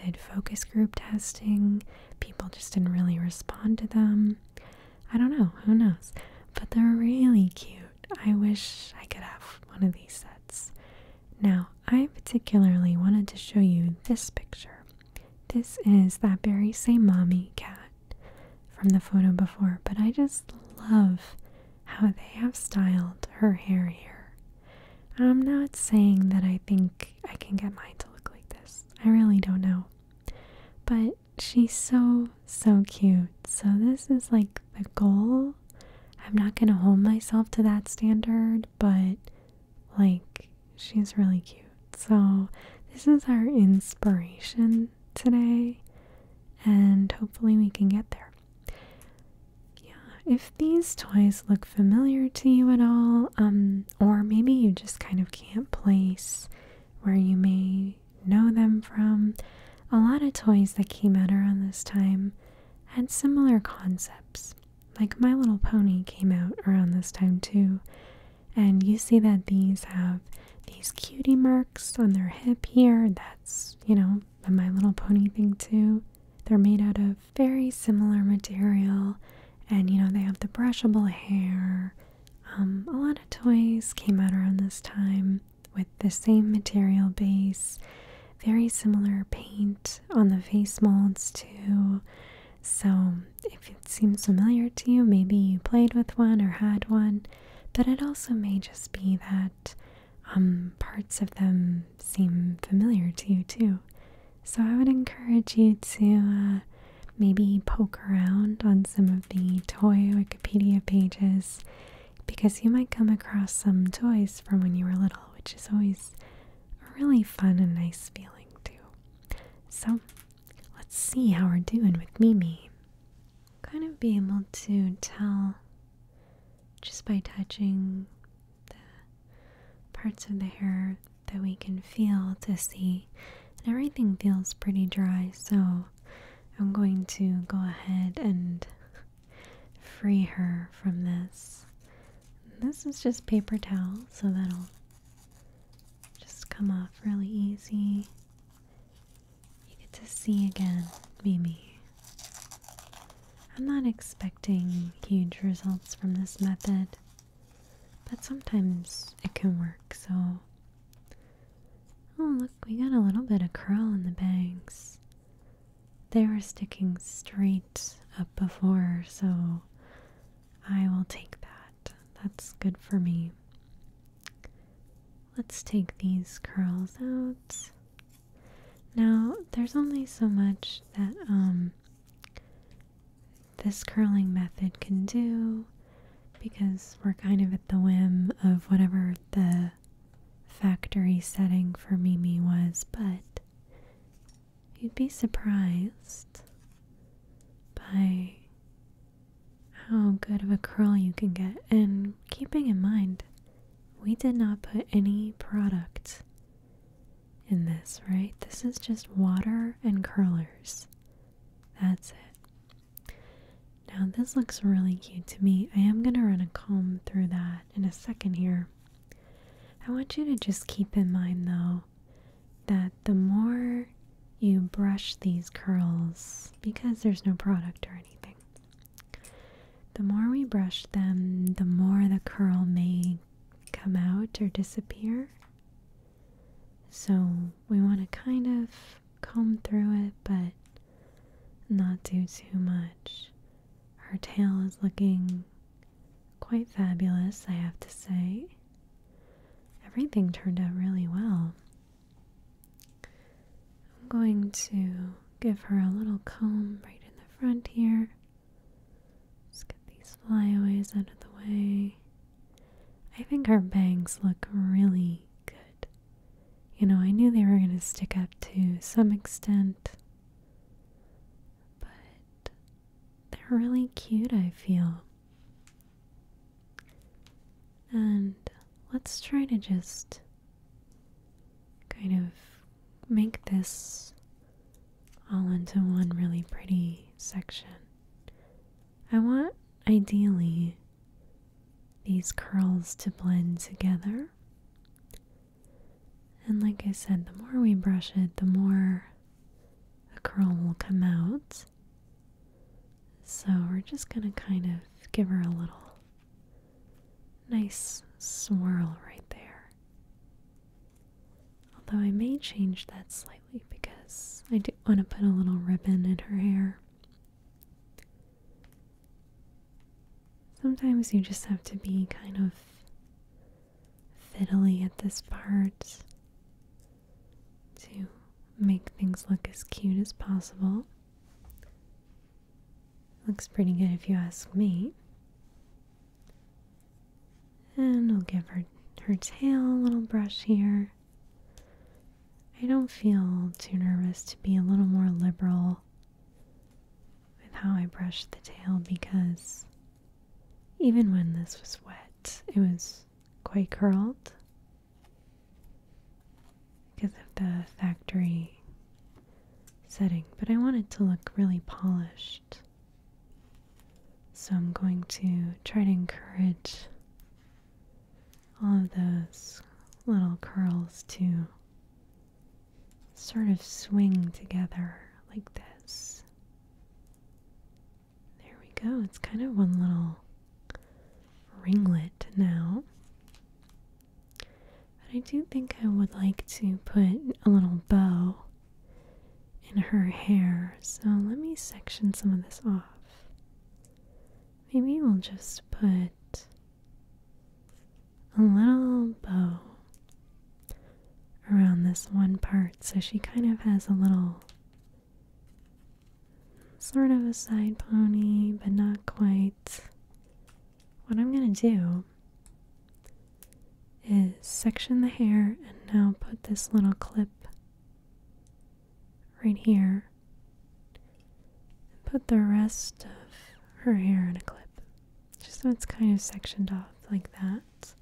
did focus group testing, people just didn't really respond to them. I don't know, who knows? But they're really cute. I wish I could have one of these sets. Now, I particularly wanted to show you this picture. This is that very same mommy cat from the photo before, but I just love how they have styled her hair here. I'm not saying that I think I can get mine to look like this. I really don't know. But she's so, so cute. So this is like the goal. I'm not going to hold myself to that standard, but like she's really cute. So this is our inspiration today, and hopefully we can get there. Yeah, if these toys look familiar to you at all, um, or maybe you just kind of can't place where you may know them from, a lot of toys that came out around this time had similar concepts. Like My Little Pony came out around this time too, and you see that these have these cutie marks on their hip here. That's, you know, the My Little Pony thing too. They're made out of very similar material, and you know, they have the brushable hair. Um, a lot of toys came out around this time with the same material base, very similar paint on the face molds too. So, if it seems familiar to you, maybe you played with one or had one but it also may just be that um, parts of them seem familiar to you too. So I would encourage you to uh, maybe poke around on some of the toy Wikipedia pages because you might come across some toys from when you were little, which is always really fun and nice feeling too. So let's see how we're doing with Mimi kind of be able to tell just by touching the parts of the hair that we can feel to see. everything feels pretty dry, so I'm going to go ahead and free her from this. This is just paper towel, so that'll just come off really easy. You get to see again, Mimi. I'm not expecting huge results from this method, but sometimes it can work, so. Oh, look, we got a little bit of curl in the bangs. They were sticking straight up before, so I will take that. That's good for me. Let's take these curls out. Now, there's only so much that um this curling method can do because we're kind of at the whim of whatever the factory setting for Mimi was, but you'd be surprised by how good of a curl you can get. And keeping in mind, we did not put any product in this, right? This is just water and curlers. That's it. Now, this looks really cute to me. I am going to run a comb through that in a second here. I want you to just keep in mind, though, that the more you brush these curls, because there's no product or anything, the more we brush them, the more the curl may come out or disappear. So we want to kind of comb through it, but not do too much. Her tail is looking quite fabulous, I have to say. Everything turned out really well. I'm going to give her a little comb right in the front here. get these flyaways out of the way. I think her bangs look really good. You know, I knew they were going to stick up to some extent, but they're really cute, I feel. And let's try to just kind of make this all into one really pretty section. I want, ideally, these curls to blend together. And like I said, the more we brush it, the more the curl will come out. So we're just going to kind of give her a little nice swirl right there. Although I may change that slightly because I do want to put a little ribbon in her hair. Sometimes you just have to be kind of fiddly at this part to make things look as cute as possible. Looks pretty good if you ask me. And I'll give her her tail a little brush here. I don't feel too nervous to be a little more liberal with how I brush the tail because even when this was wet, it was quite curled because of the factory setting, but I want it to look really polished. So I'm going to try to encourage all of those little curls to sort of swing together like this. There we go. It's kind of one little ringlet now. But I do think I would like to put a little bow in her hair, so let me section some of this off. Maybe we'll just put a little bow around this one part so she kind of has a little sort of a side pony, but not quite what I'm going to do is section the hair and now put this little clip right here and put the rest of her hair in a clip. Just so it's kind of sectioned off like that.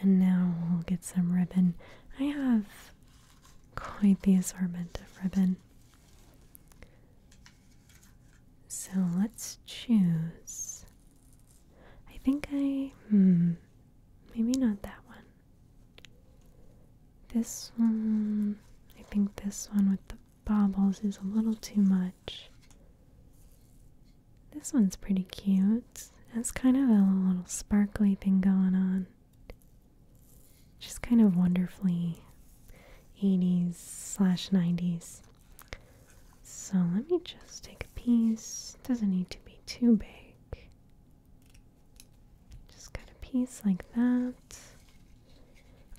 And now we'll get some ribbon. I have quite the assortment of ribbon. So let's choose. I think I. Hmm. Maybe not that one. This one. I think this one with the baubles is a little too much. This one's pretty cute. It's kind of a little sparkly thing going on. Just kind of wonderfully 80s slash 90s. So let me just take a piece. Doesn't need to be too big. Just cut a piece like that.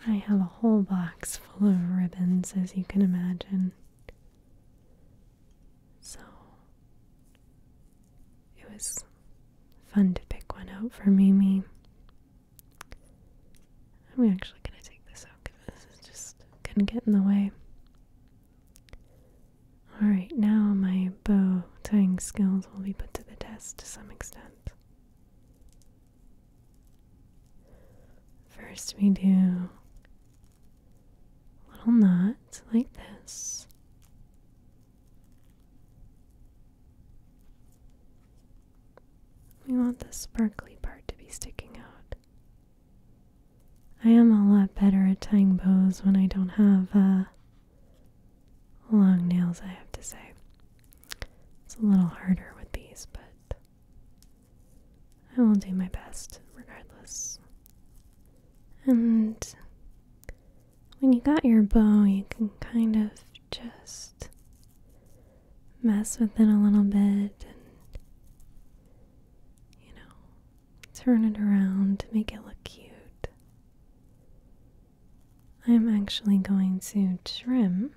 I have a whole box full of ribbons, as you can imagine. So it was fun to pick one out for Mimi. I'm actually going to take this out because this is just going to get in the way. Alright, now my bow tying skills will be put to the test to some extent. First, we do a little knot like this. We want the sparkly part to be sticking out. I am a lot better at tying bows when I don't have uh, long nails, I have to say. It's a little harder with these, but I will do my best regardless. And when you got your bow, you can kind of just mess with it a little bit and, you know, turn it around to make it look cute. I'm actually going to trim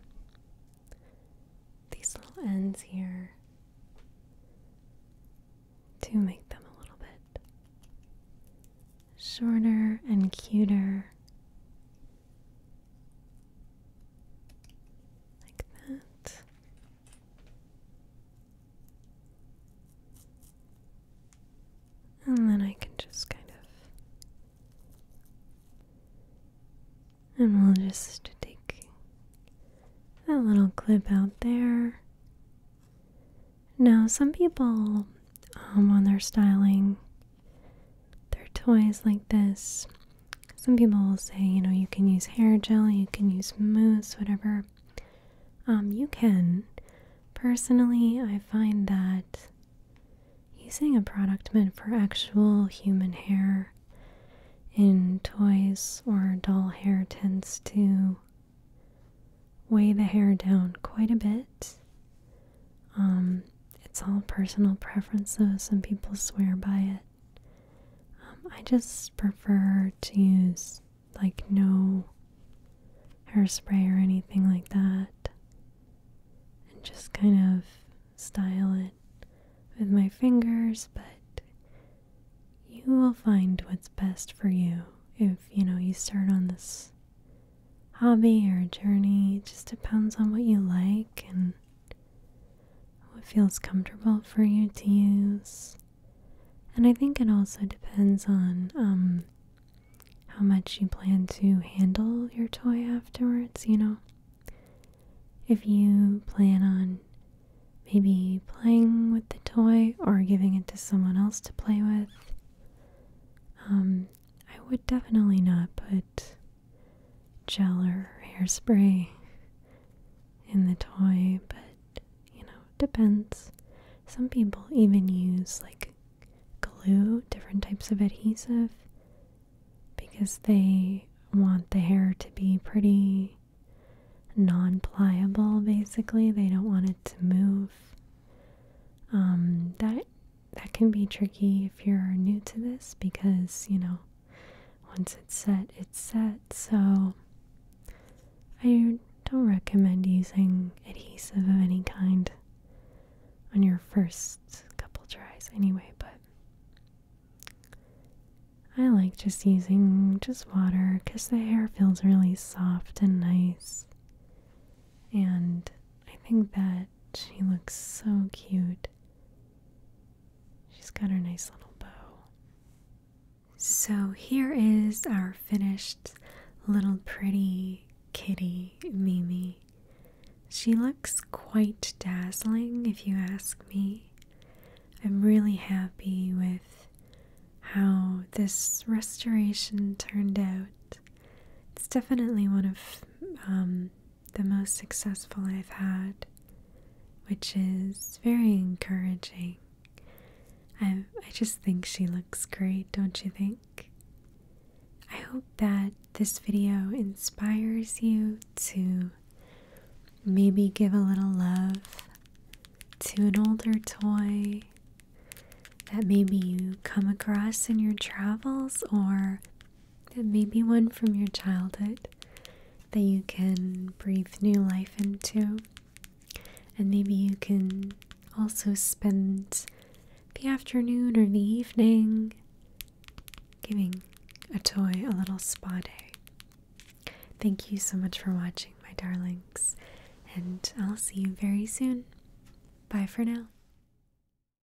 these little ends here to make them a little bit shorter and cuter. Like that. And then I can just kind of. And we'll just take that little clip out there. Now, some people, on um, their styling, they're toys like this. Some people will say, you know, you can use hair gel, you can use mousse, whatever. Um, you can. Personally, I find that using a product meant for actual human hair in toys or doll hair tends to weigh the hair down quite a bit. Um, it's all personal preferences. though. Some people swear by it. Um, I just prefer to use like no hairspray or anything like that, and just kind of style it with my fingers. But you will find what's best for you if you know you start on this hobby or a journey. It just depends on what you like and what feels comfortable for you to use. And I think it also depends on um, how much you plan to handle your toy afterwards, you know. If you plan on maybe playing with the toy or giving it to someone else to play with, um, I would definitely not put gel or hairspray in the toy, but you know, depends. Some people even use like glue, different types of adhesive, because they want the hair to be pretty non pliable, basically. They don't want it to move. Um, that that can be tricky if you're new to this because, you know, once it's set, it's set. So I don't recommend using adhesive of any kind on your first couple tries anyway, but I like just using just water because the hair feels really soft and nice. And I think that she looks so cute. She's got her nice little bow. So, here is our finished little pretty kitty, Mimi. She looks quite dazzling, if you ask me. I'm really happy with how this restoration turned out. It's definitely one of um, the most successful I've had, which is very encouraging. I, I just think she looks great, don't you think? I hope that this video inspires you to maybe give a little love to an older toy that maybe you come across in your travels or and maybe one from your childhood that you can breathe new life into. And maybe you can also spend the afternoon or the evening giving a toy a little spa day. Thank you so much for watching, my darlings, and I'll see you very soon. Bye for now.